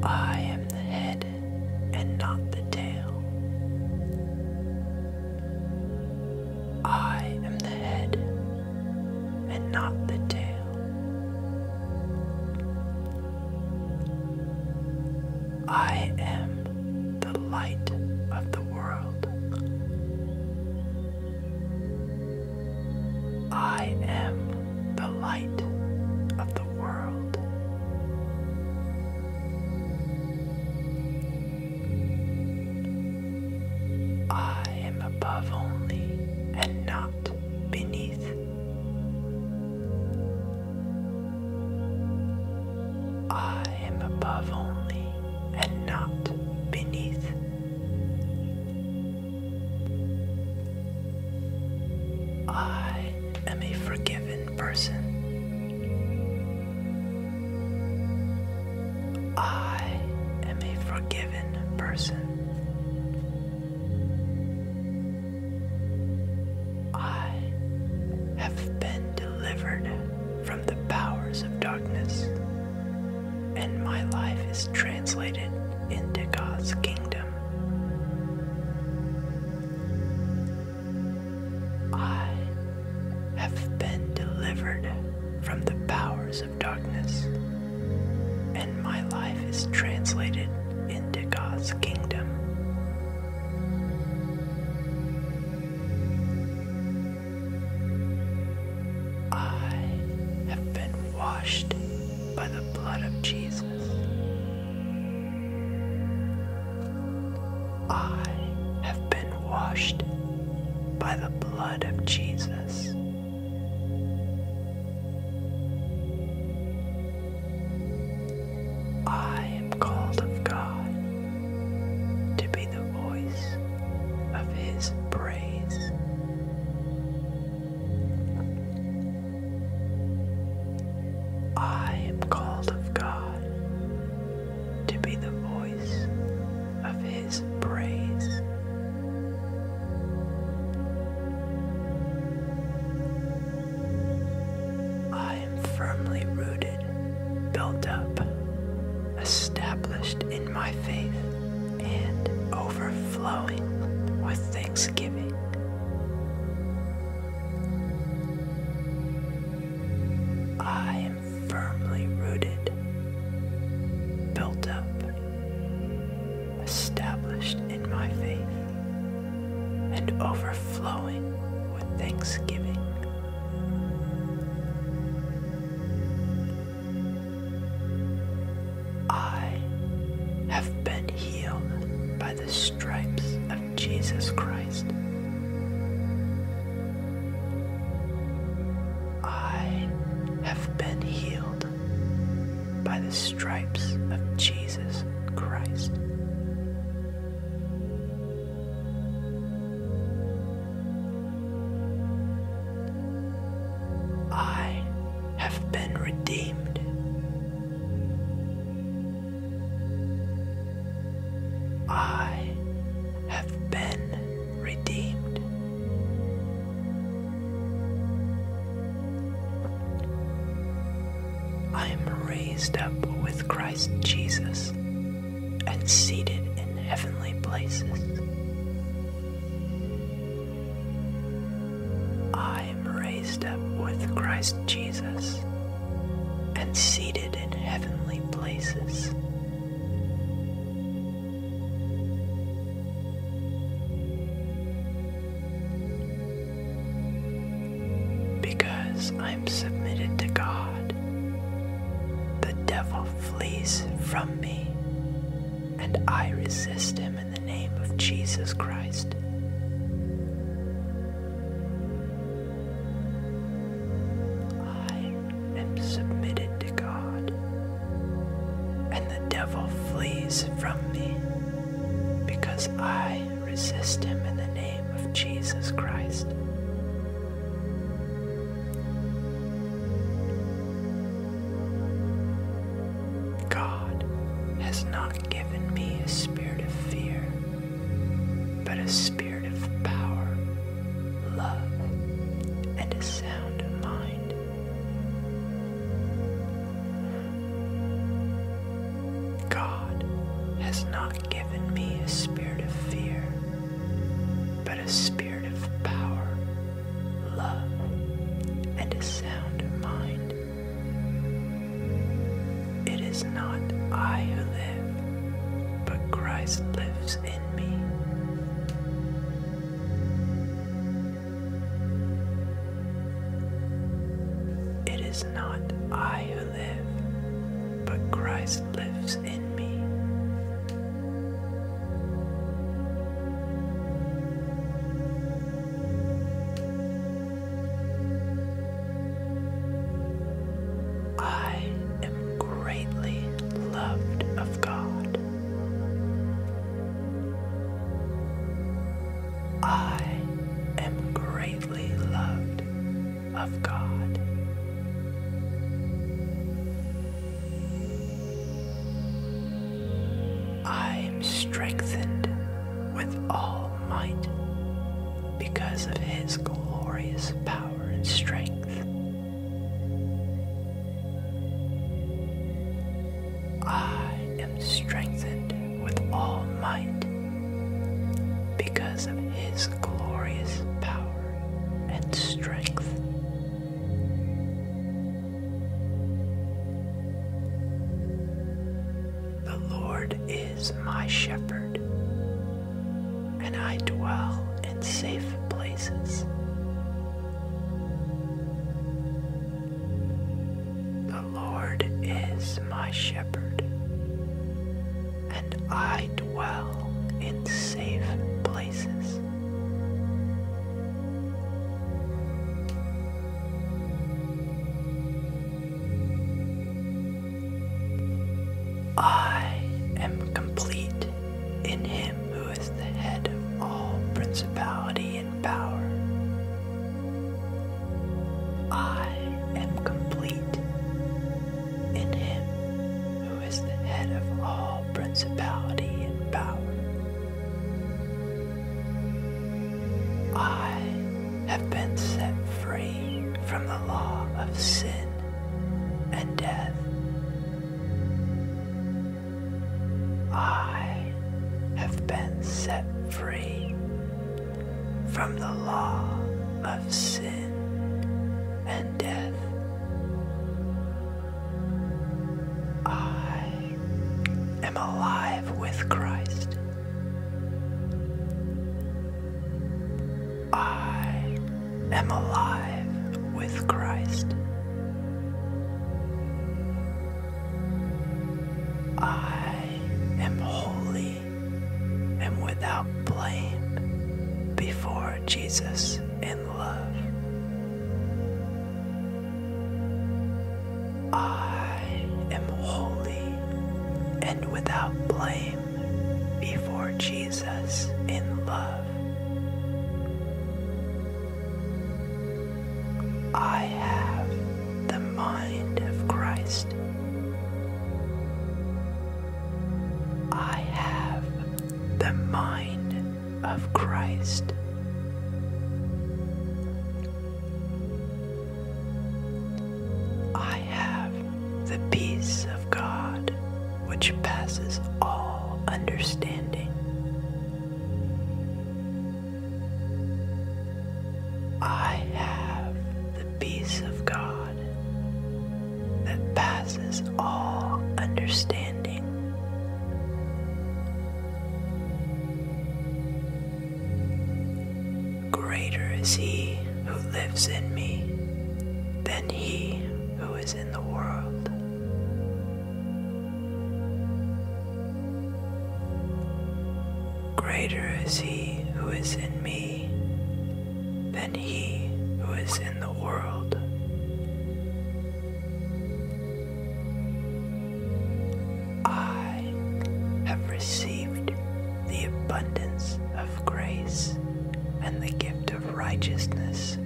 I am the head and not the tail. I am the head and not the tail. I am the light of the world. I am the light of the world. I am above only and not beneath. I I am above only and not beneath. I am a forgiven person. I am a forgiven person. I have been delivered from the powers of darkness, and my life is translated into God's kingdom. I have been delivered from the powers of darkness, and my life is translated into God's kingdom. I have been washed by the blood of Jesus. I have been washed by the blood of Jesus. I called of God to be the voice of His praise. I am called of God to be the voice of His praise. I am firmly rooted, built up, established in my faith, and overflowing with thanksgiving. I am firmly rooted, built up, established in my faith, and overflowing with thanksgiving. I have been healed by the stripes of Jesus Christ. I have been healed by the stripes of Jesus Christ. I have been redeemed. I have been redeemed. I am raised up with Christ Jesus and seated in heavenly places. I am raised up with Christ Jesus and seated in heavenly places. Because I am submitted to God the devil flees from me, and I resist him in the name of Jesus Christ. I am submitted to God, and the devil flees from me because I resist him in the name of Jesus Christ. God has not given me a spirit of fear, but a spirit of power, love, and a sound mind. God has not given me a spirit of fear, but a spirit of power, love, and a sound mind. It is not I who live, but Christ lives in me. It is not I who live, but Christ lives in me. I am greatly loved of God. I am greatly loved of God. I am strengthened with all might because of his glorious power and strength. I am strengthened with all might because of his glorious power and strength. The Lord is my shepherd, and I dwell in safe places. The Lord is my shepherd, and I dwell in safe places. I am complete in him who is the head of all principality and power. I am complete in him who is the head of all principality and power. I have been set free from the law of sin and death. I have been set free from the law of sin and death. I am alive with Christ. I am alive with Christ. I am holy and without blame before Jesus in love. I am holy and without blame before Jesus in love. I have the mind of Christ. I have the mind of Christ. I have the peace of God which passes all understanding. I have the peace of God that passes all understanding. Greater is he who lives in me than he who is in the world. Greater is he who is in me than he who is in the world. I have received the abundance of grace and the gift of righteousness.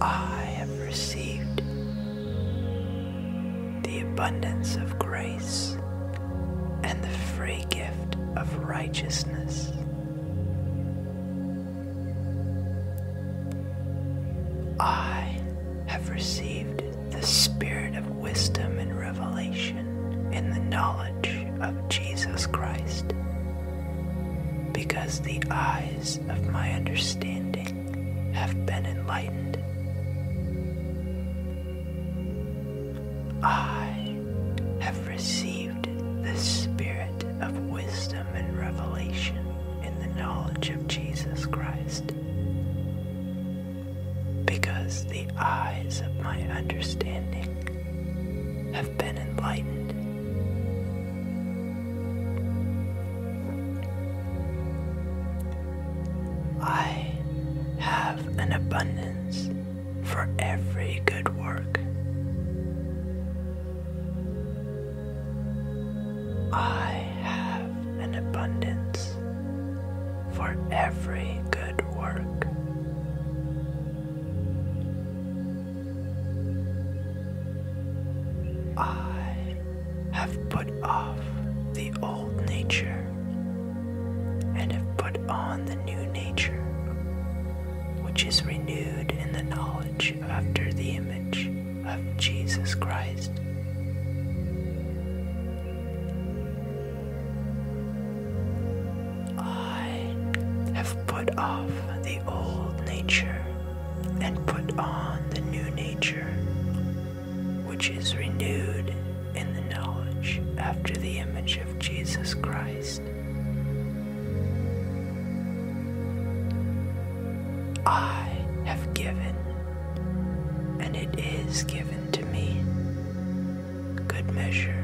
I have received the abundance of grace and the free gift of righteousness. I have received the spirit of wisdom and revelation in the knowledge of Jesus Christ, because the eyes of my understanding have been enlightened. I have received the spirit of wisdom and revelation in the knowledge of Jesus Christ, because the eyes of my understanding have been enlightened. I have an abundance for every good work. I have an abundance for every good work. I have put off the old nature and have put on the new nature, which is renewed in the knowledge after the image of Jesus Christ. I have put off the old nature and put on the new nature, which is renewed in the knowledge after the image of Jesus Christ. I have given, and it is given to me. Good measure,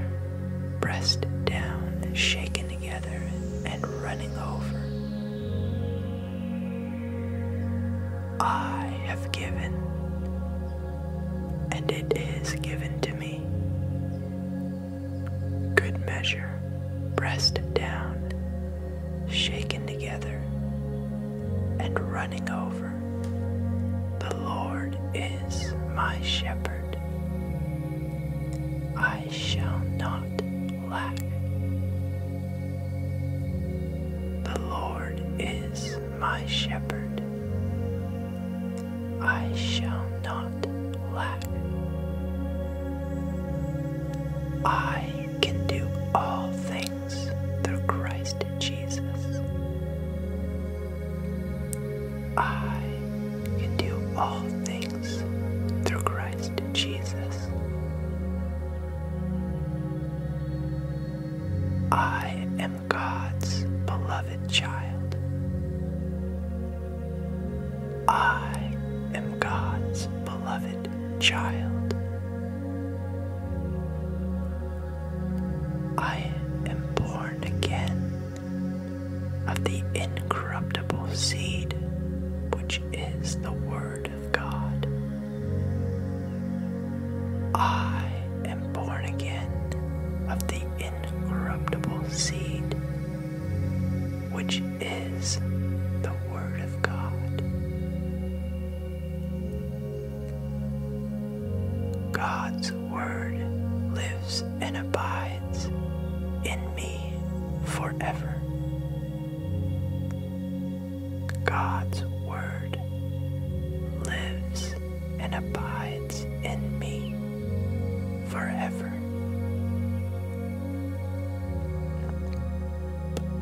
pressed down, shaken together, and running over. I have given, and it is given to me me. Good measure, pressed down, shaken together, and running over. The Lord is my shepherd. I shall not lack. The Lord is my shepherd. I shall not lack. I can do all things through Christ Jesus. I can do all things through Christ Jesus. I am God's beloved child. I am God's beloved child. I am born again of the incorruptible seed which is the Word of God. I am born again of the incorruptible seed, which is the Word of God. God's Word lives and abides in me forever. God's Word lives and abides in me forever.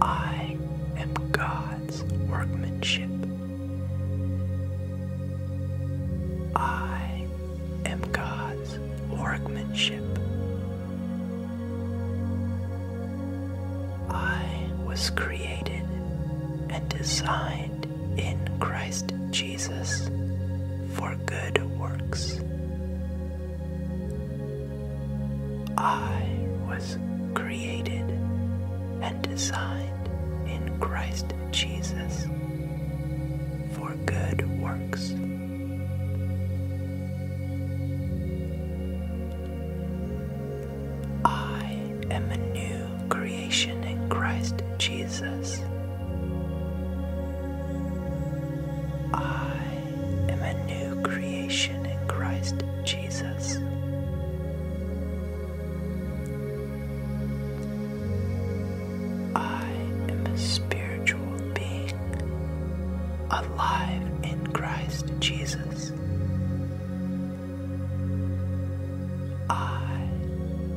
I am God's workmanship. I am God's workmanship. I was created and designed in Christ Jesus for good works. I was created and designed in Christ Jesus for good works. I am a new creation in Christ Jesus. I am a new creation in Christ Jesus. I am a spiritual being alive in Christ Jesus. I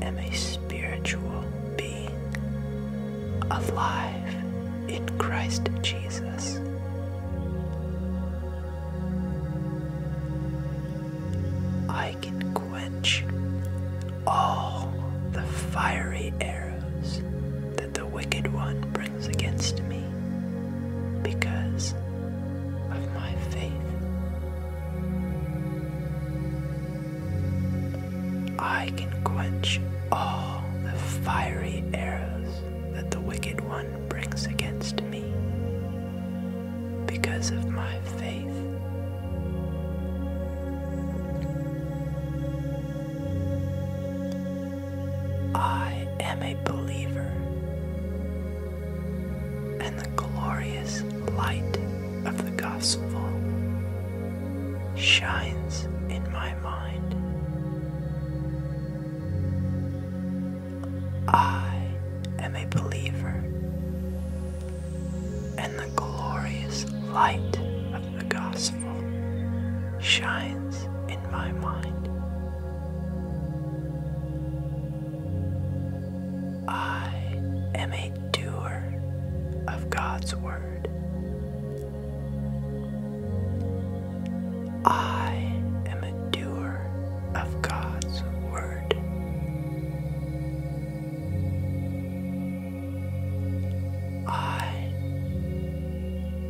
am a spiritual alive in Christ Jesus. I can quench all the fiery arrows that the wicked one brings against me because of my faith. I can quench all the fiery arrows that the wicked one brings against me because of my faith. I am a believer the glorious light of the gospel shines in my mind. I am a believer, and the glorious light of the gospel shines in my mind. I am a doer of God's Word. I am a doer of God's Word. I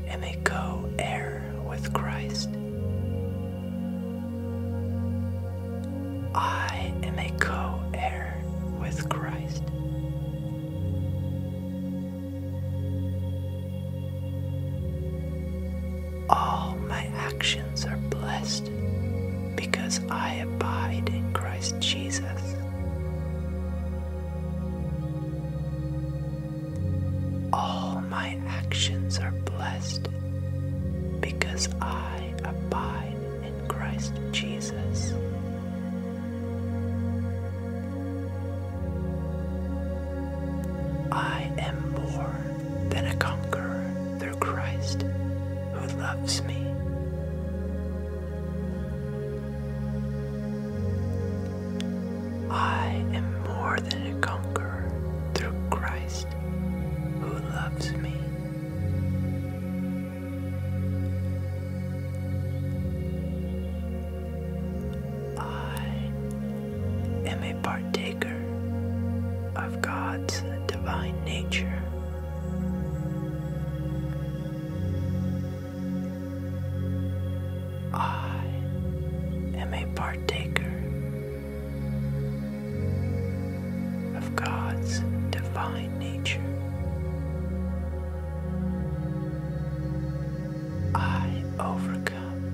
am a co heir with Christ. I am a co heir with Christ. All my actions are blessed because I abide in Christ Jesus. All my actions are blessed because I abide in Christ Jesus. I am more than a conqueror through Christ who loves me. I am more than a conqueror through Christ who loves me. I am a partaker of God's divine nature. I am a partaker of God's divine nature. I overcome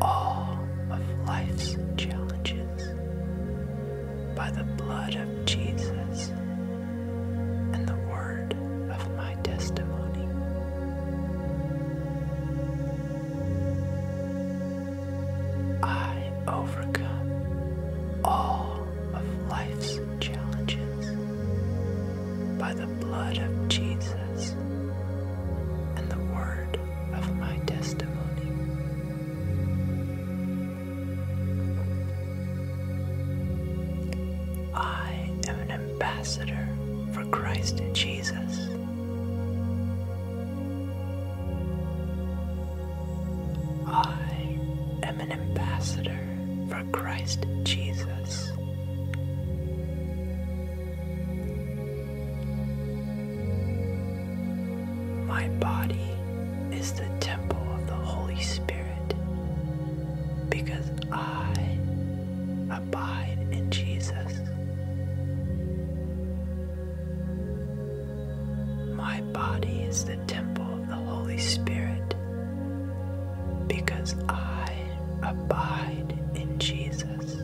all of life's challenges by the blood of Jesus and the word of my testimony. I overcome all of life's challenges by the blood of Jesus and the word of my testimony. I am an ambassador for Christ Jesus. I am an ambassador for Christ Jesus. My body is the temple of the Holy Spirit because I abide in Jesus. My body is the temple of the Holy Spirit because I abide in Jesus.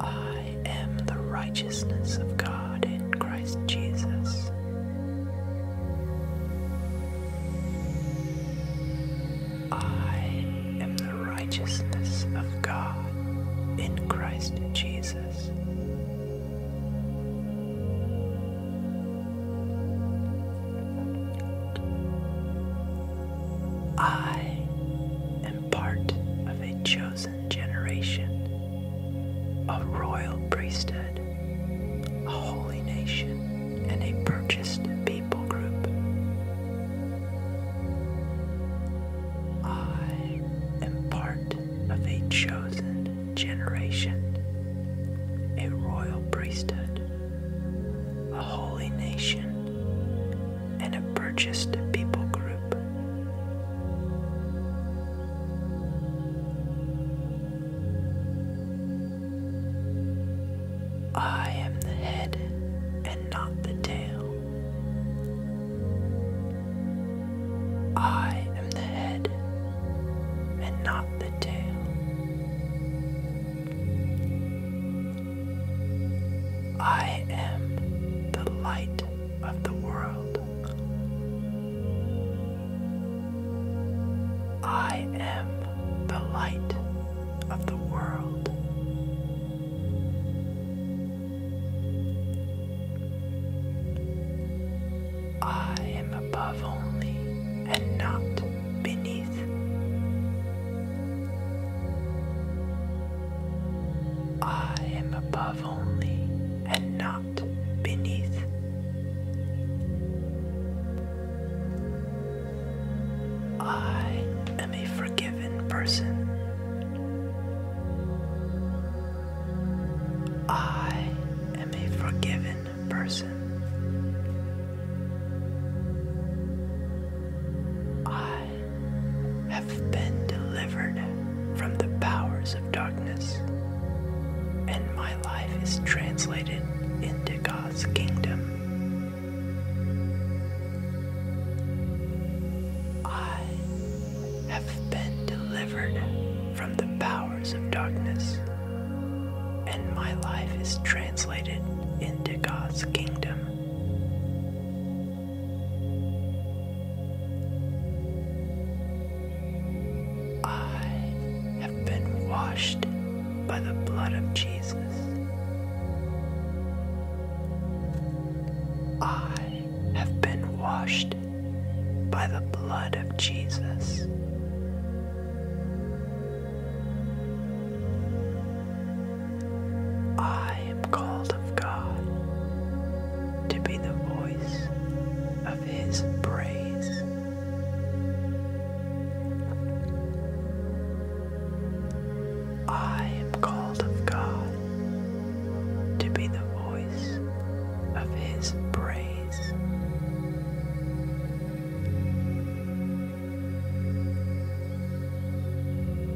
I am the righteousness of God in Christ Jesus. I am righteousness of God in Christ Jesus. I am part of a chosen generation, a royal priesthood, a holy nation, and a purchased people group. I am part of a chosen generation, a royal priesthood, a holy nation, and a purchased people group. I am the head and not the tail. I am the head and not the tail. I am the light of the world. I am the light of the world. I am above only and not beneath. I am above only and not beneath. I am a forgiven person. I am a forgiven person. I have been delivered from the powers of darkness, and my life is translated into God's kingdom. I have been delivered from the powers of darkness, and my life is translated into God's kingdom. I have been washed by the blood of Jesus. I have been washed by the blood of Jesus. I am called of God to be the voice of His praise. I am called of God to be the voice of His praise.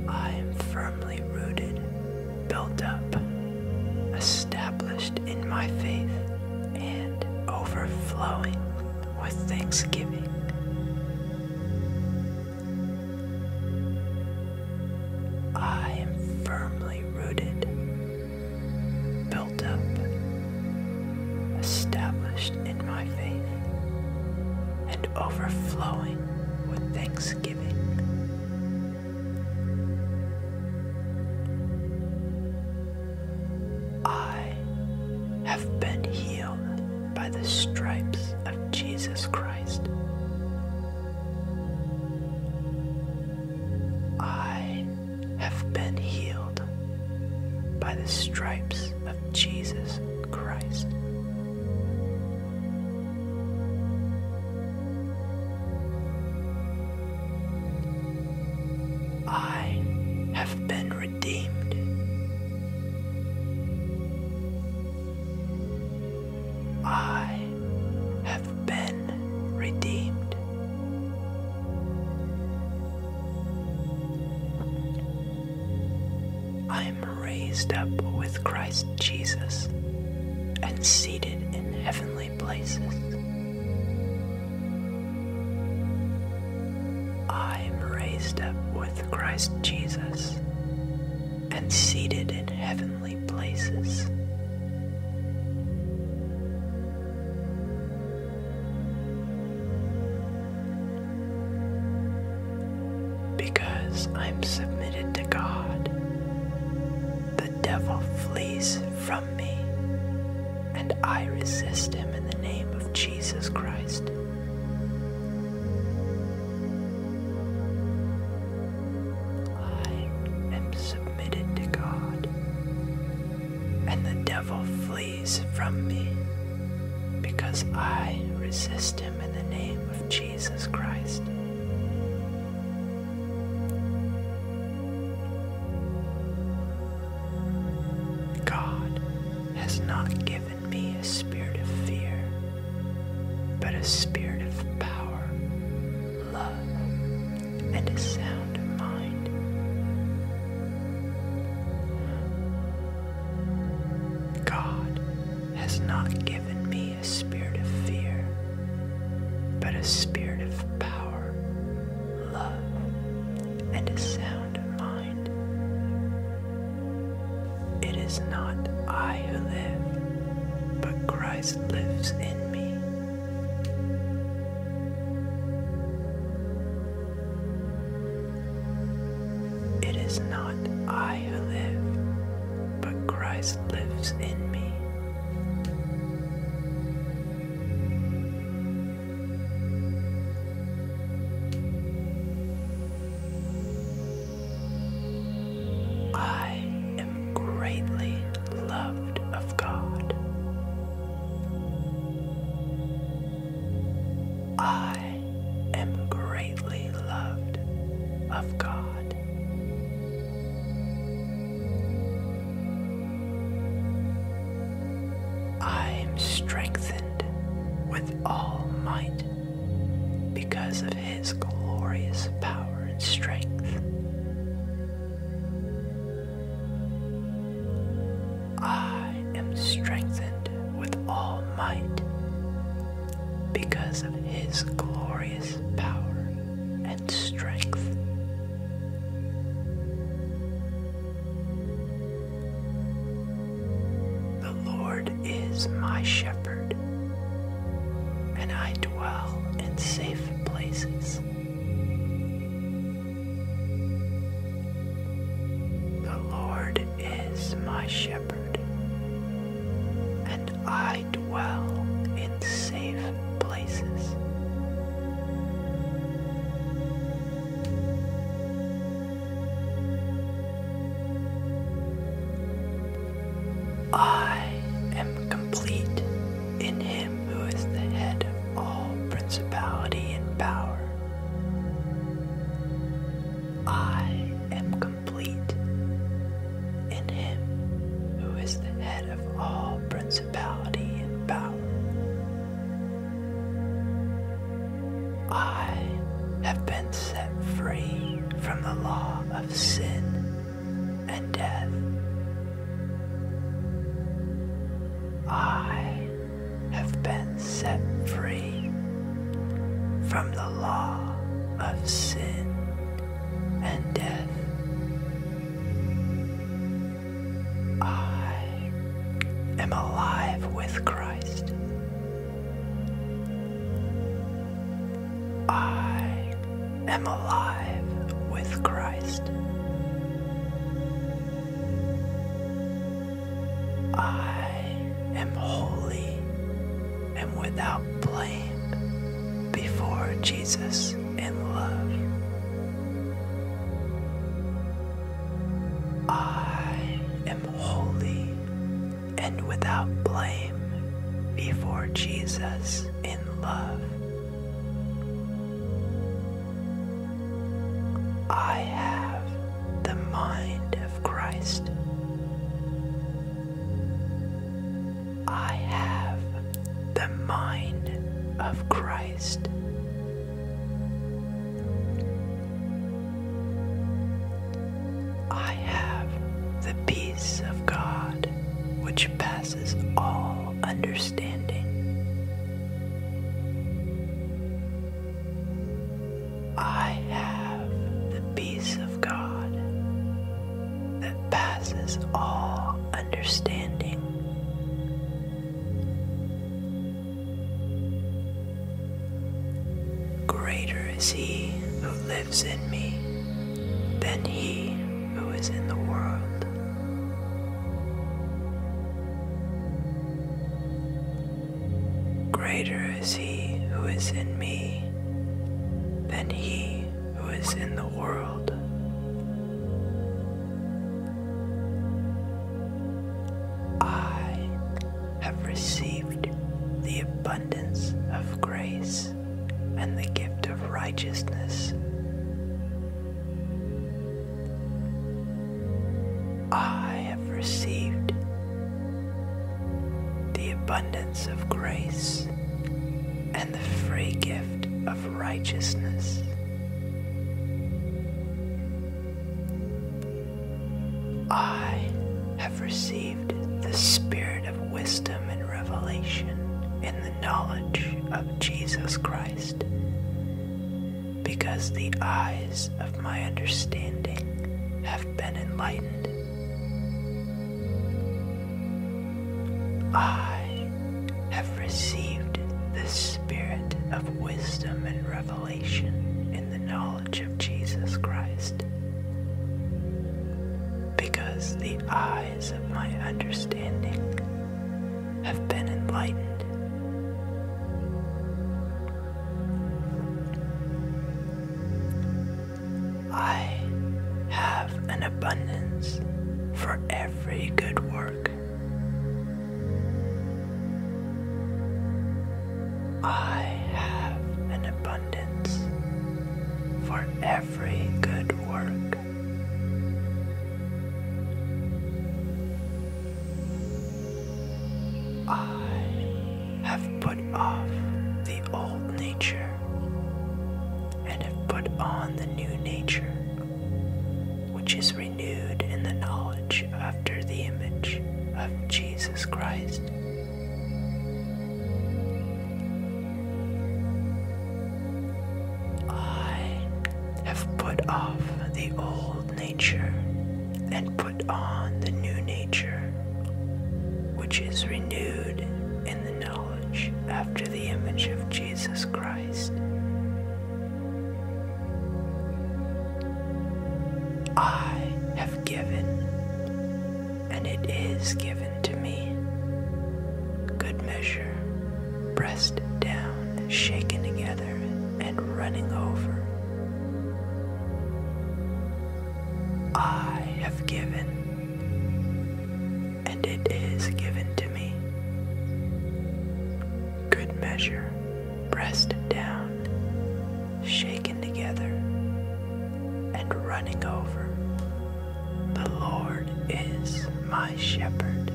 I am firmly rooted, built up, established in my faith, and overflowing with thanksgiving. I am firmly rooted, built up, established in my faith, and overflowing with thanksgiving. I have been healed by the stripes of Jesus Christ. I have been healed by the stripes of Jesus Christ. I have been redeemed. I have been redeemed. I am raised up with Christ Jesus and seated in heavenly places. I am raised up with Christ Jesus and seated in heavenly places. Because I'm submitted to God, the devil flees from me, and I resist him in the name of Jesus Christ. I am submitted to God, and the devil flees from me because I resist him in the name of Jesus Christ. God has not given me a spirit of fear, but a spirit of power love, and a sound mind. God has not given me a spirit of fear, but a spirit of power, love, and a sound mind. It is not I who live, but Christ lives in me. It is not I who live, but Christ lives in me. I am greatly loved of God. I am greatly loved of God. I am strengthened with all might because of his glorious power and strength. I am strengthened with all might because of his glorious power and strength. The Lord is my shepherd and I dwell in safe places. The Lord is my shepherd, and I dwell in safe places. I am complete in him who is the head of all principality and power. I am complete in him who is the head of all principality and power. I have been set free from the law of sin and death. I have been set free from the law of sin and death. I am alive with Christ. I am alive with Christ. I am holy and without blame before Jesus in love. I am holy and without blame before Jesus in love. I have the mind of Christ. I have the mind of Christ. I have the peace of God which passes surpasses all understanding. I have the peace of God that passes all understanding. Greater is He who lives in me than he who is in the world. Greater is he who is in me than he who is in the world. I have received the abundance of grace and the gift of righteousness. I have received the abundance of grace and the free gift of righteousness. I have received the spirit of wisdom and revelation in the knowledge of Jesus Christ, because the eyes of my understanding have been enlightened. I have received the spirit of wisdom and revelation in the knowledge of Jesus Christ, because the eyes of my understanding have been enlightened. I have an abundance for every good work. I have an abundance for every good work. I have put off the old nature and have put on the new nature, which is renewed in the knowledge after the image of Jesus Christ. I have put off the old nature and put on the new nature, which is renewed in the knowledge after the image of Jesus Christ. I have given, and it is given given to me. Good measure, pressed down, shaken together, and running over. I have given, and it is given to me. Good measure, pressed down, shaken together, and running over. The Lord is my shepherd.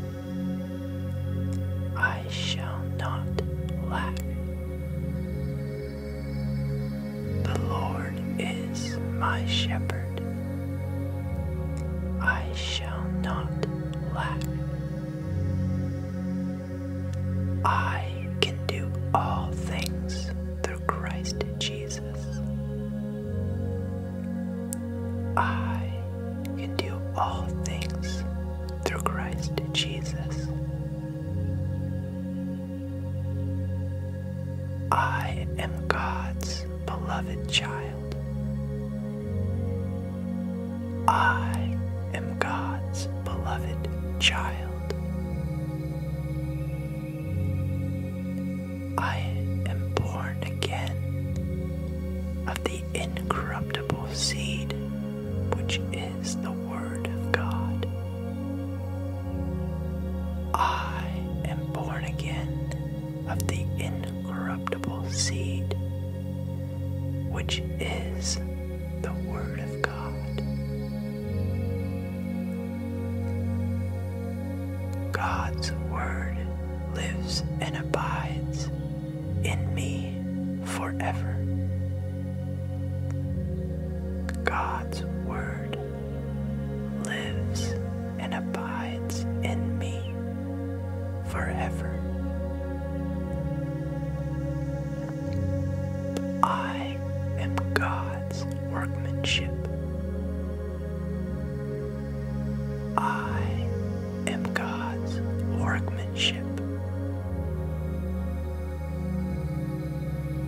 I shall not lack. The Lord is my shepherd. I shall not lack. I can do all things through Christ Jesus. I can do all things through Christ Jesus. I am God's beloved child. I am God's beloved child. I am born again of the incorruptible seed, which is the Word of God. I am born again of the incorruptible seed, which is the Word of God. God's Word lives and abides in me forever. God's Word lives and abides in me forever. I am God's workmanship, I am God's workmanship.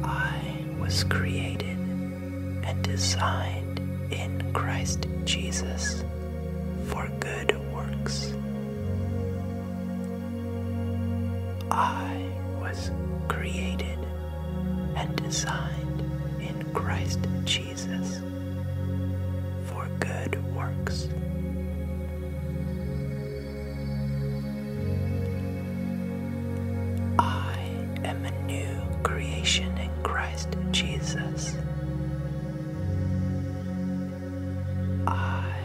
I was created and designed in Christ Jesus for good works. I was created and designed in Christ Jesus. Jesus for good works. I am a new creation in Christ Jesus. I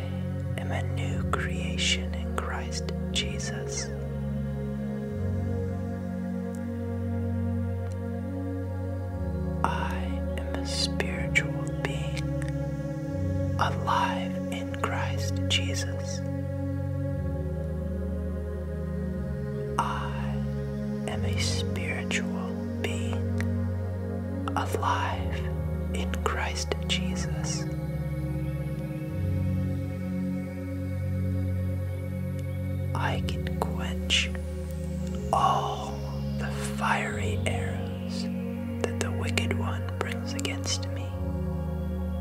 am a new creation in Christ Jesus. I am a spiritual being, alive in Christ Jesus. I am a spiritual being, alive in Christ Jesus. I can quench all the fiery arrows that the wicked one brings against me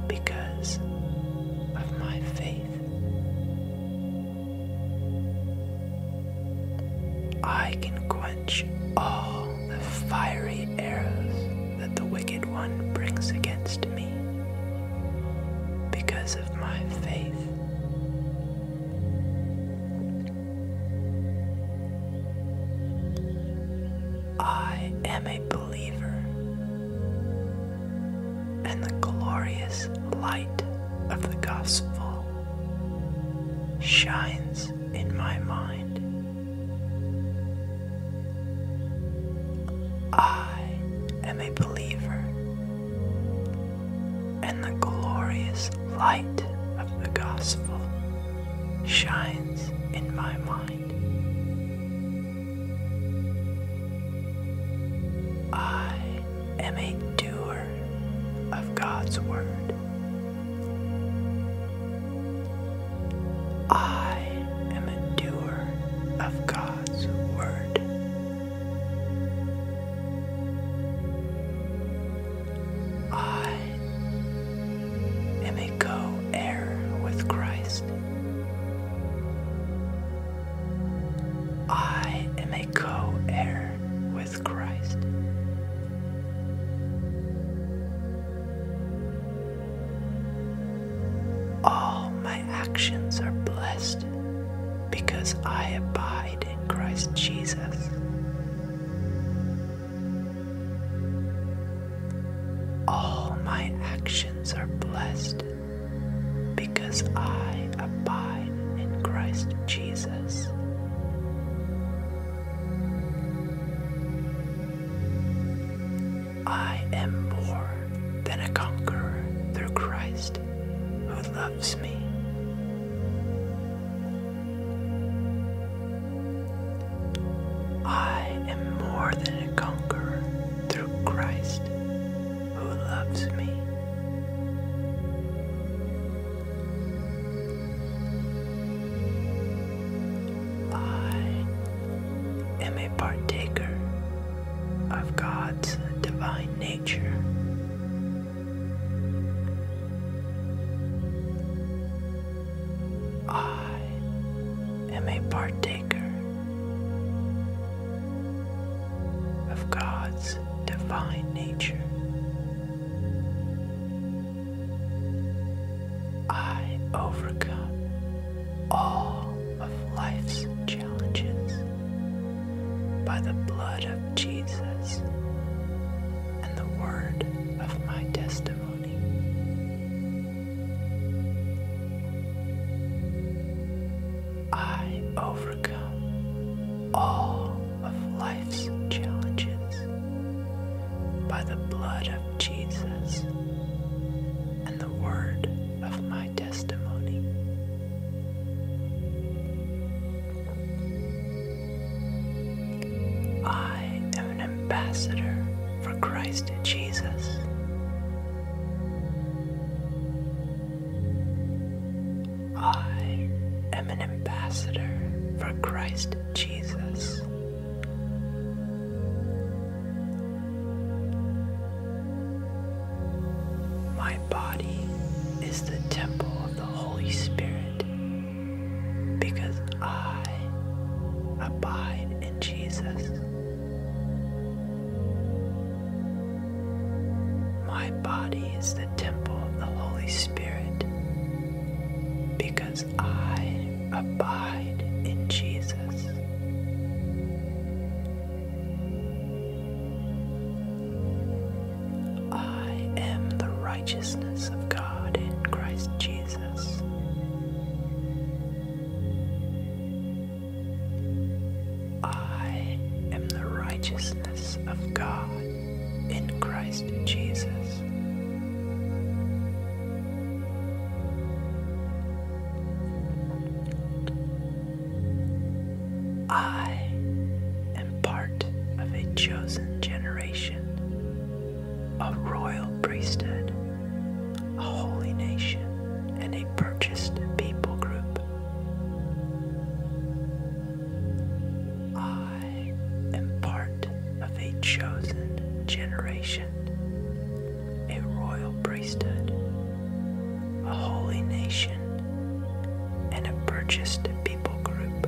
because of my faith. I can quench all the fiery arrows that the wicked one brings against me because of my faith. I am a believer in the glorious light of the gospel shines in my mind. I am a believer and the glorious light of the gospel shines in my mind. I am a doer of God's word. I am a doer of God's word. I am a co heir with Christ. I am a co heir with Christ. All my actions are blessed because I abide in Christ Jesus. All my actions are blessed because I abide in Christ Jesus. I am more than a conqueror through Christ who loves. I am more than a conqueror through Christ who loves me. I am a partaker of God's divine nature I am a partaker of God's divine nature. I overcome all of life's challenges by the blood of Jesus and the word of my testimony. I overcome all of life's challenges by the blood of Jesus and the word of my testimony. I am an ambassador for Christ Jesus. I am an ambassador for Christ Jesus. My body is the temple of the Holy Spirit, because I abide in Jesus. My body is the temple of the Holy Spirit, because I abide in Jesus. I am the righteousness of God in Christ Jesus. I am the righteousness of God in Christ Jesus. I am part of a chosen generation, a royal priesthood, a holy nation, and a purchased people group. I am part of a chosen generation, a royal priesthood, a holy nation and a purchased people group.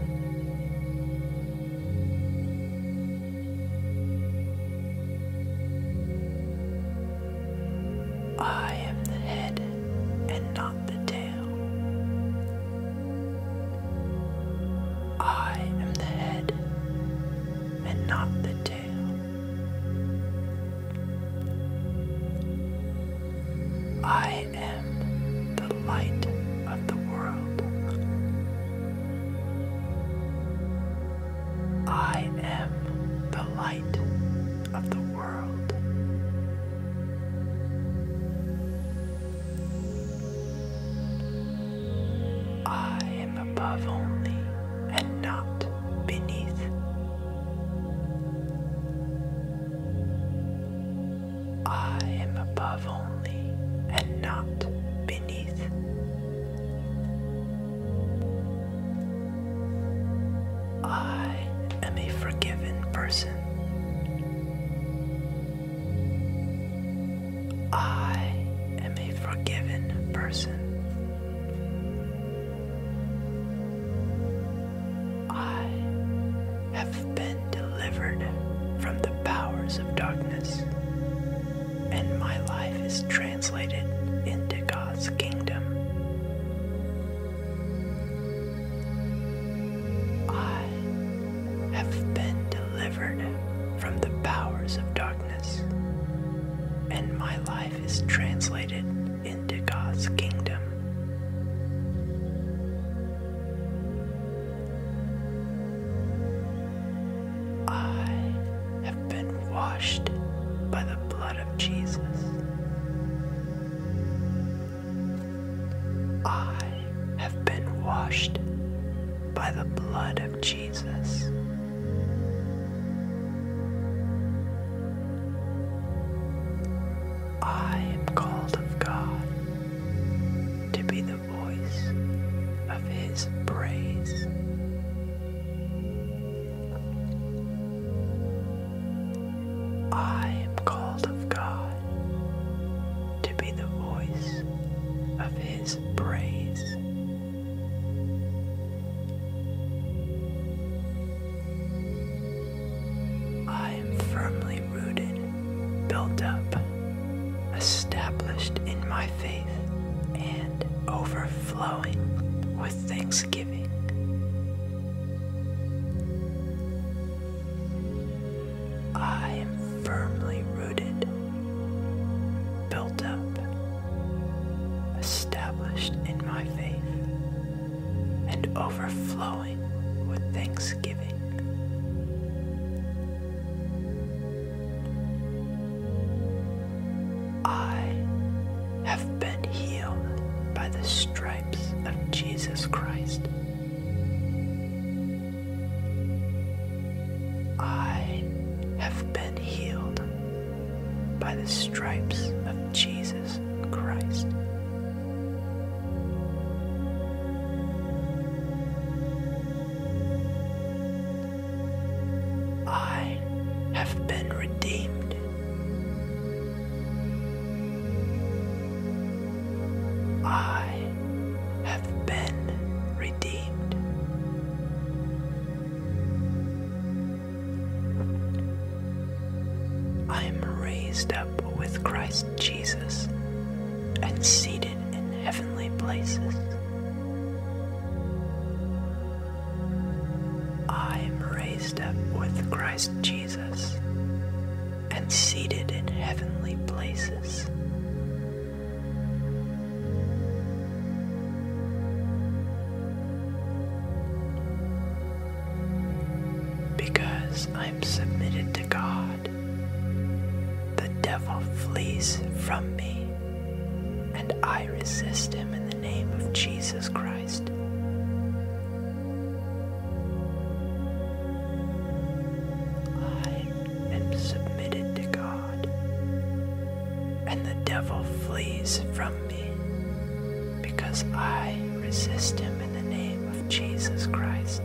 I am the head and not the tail. I am the head and not the tail. I am the light of the world. I am the light of the world. I am above only and not beneath. I am above only and not beneath. I am a forgiven person. I am a forgiven person. I have been delivered from the powers of darkness, and my life is translated into God's kingdom. I have been delivered from the powers of darkness, and my life is translated into God's kingdom. I have been washed by the blood of Jesus. I have been washed by the blood of Jesus. I am called of God to be the voice of his praise. I am called of God to be the voice of his praise. I am firmly rooted, built up, established in my faith, and overflowing with thanksgiving. I am firmly rooted, built up, established in my faith, and overflowing with thanksgiving. I have been healed by the stripes of Jesus Christ. I have been healed by the stripes of Jesus Christ. I have been redeemed. I have been redeemed. I am raised up with Christ. Jesus and seated in heavenly places. I am raised up with Christ Jesus and seated in heavenly places. Because I am submitted to God. The devil flees from me, and I resist him in the name of Jesus Christ. I am submitted to God, and the devil flees from me because I resist him in the name of Jesus Christ.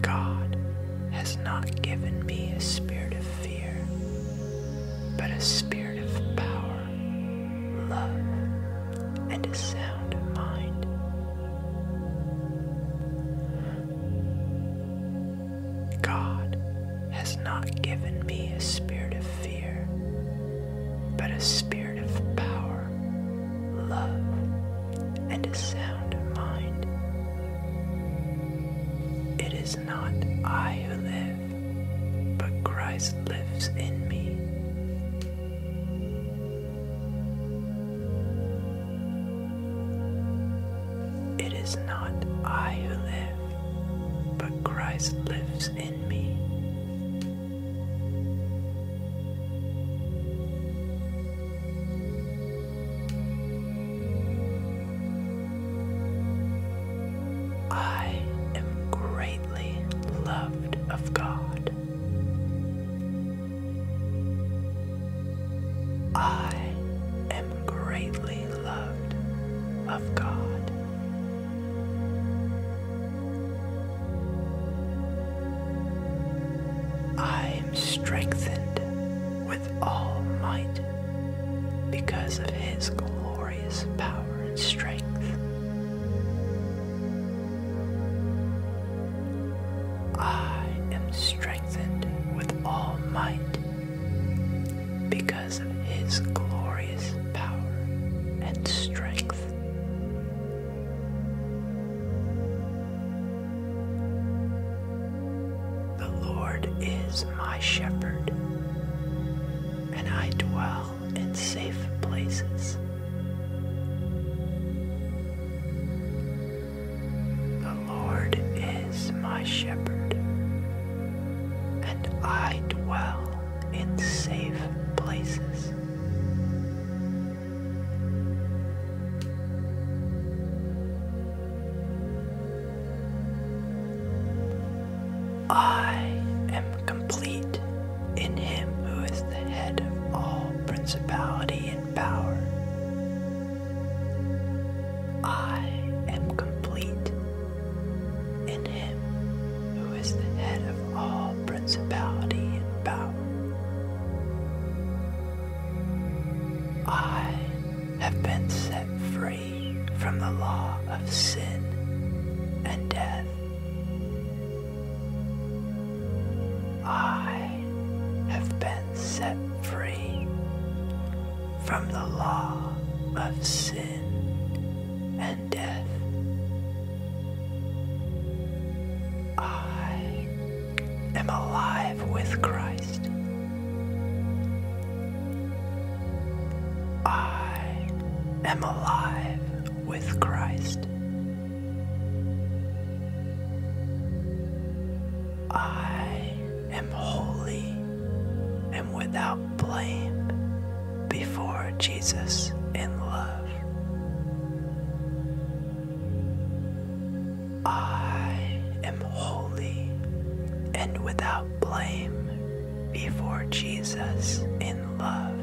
God has not given me a spirit of fear, but a spirit of power, love, and a sound mind. God has not given me a spirit of fear, but a spirit of power, love, and a sound mind. It is not I who live, but Christ lives in me. It is not I who live, but Christ lives within me. I am greatly loved of God. I am greatly loved of God. I am strengthened with all might because of his glorious power and strength. I am strengthened with all might because because of his glorious power and strength. The Lord is my shepherd, and I dwell in safe places. The Lord is my shepherd, and I dwell in safe places. I am complete in him who is the head of all principality and power. I am complete in him who is the head of all principality and power. I have been set free from the law of sin and death. I have been set free from the law of sin and death. I am alive with Christ. I am alive with Christ. I am holy and without blame before Jesus in love. I am holy and without blame before Jesus in love.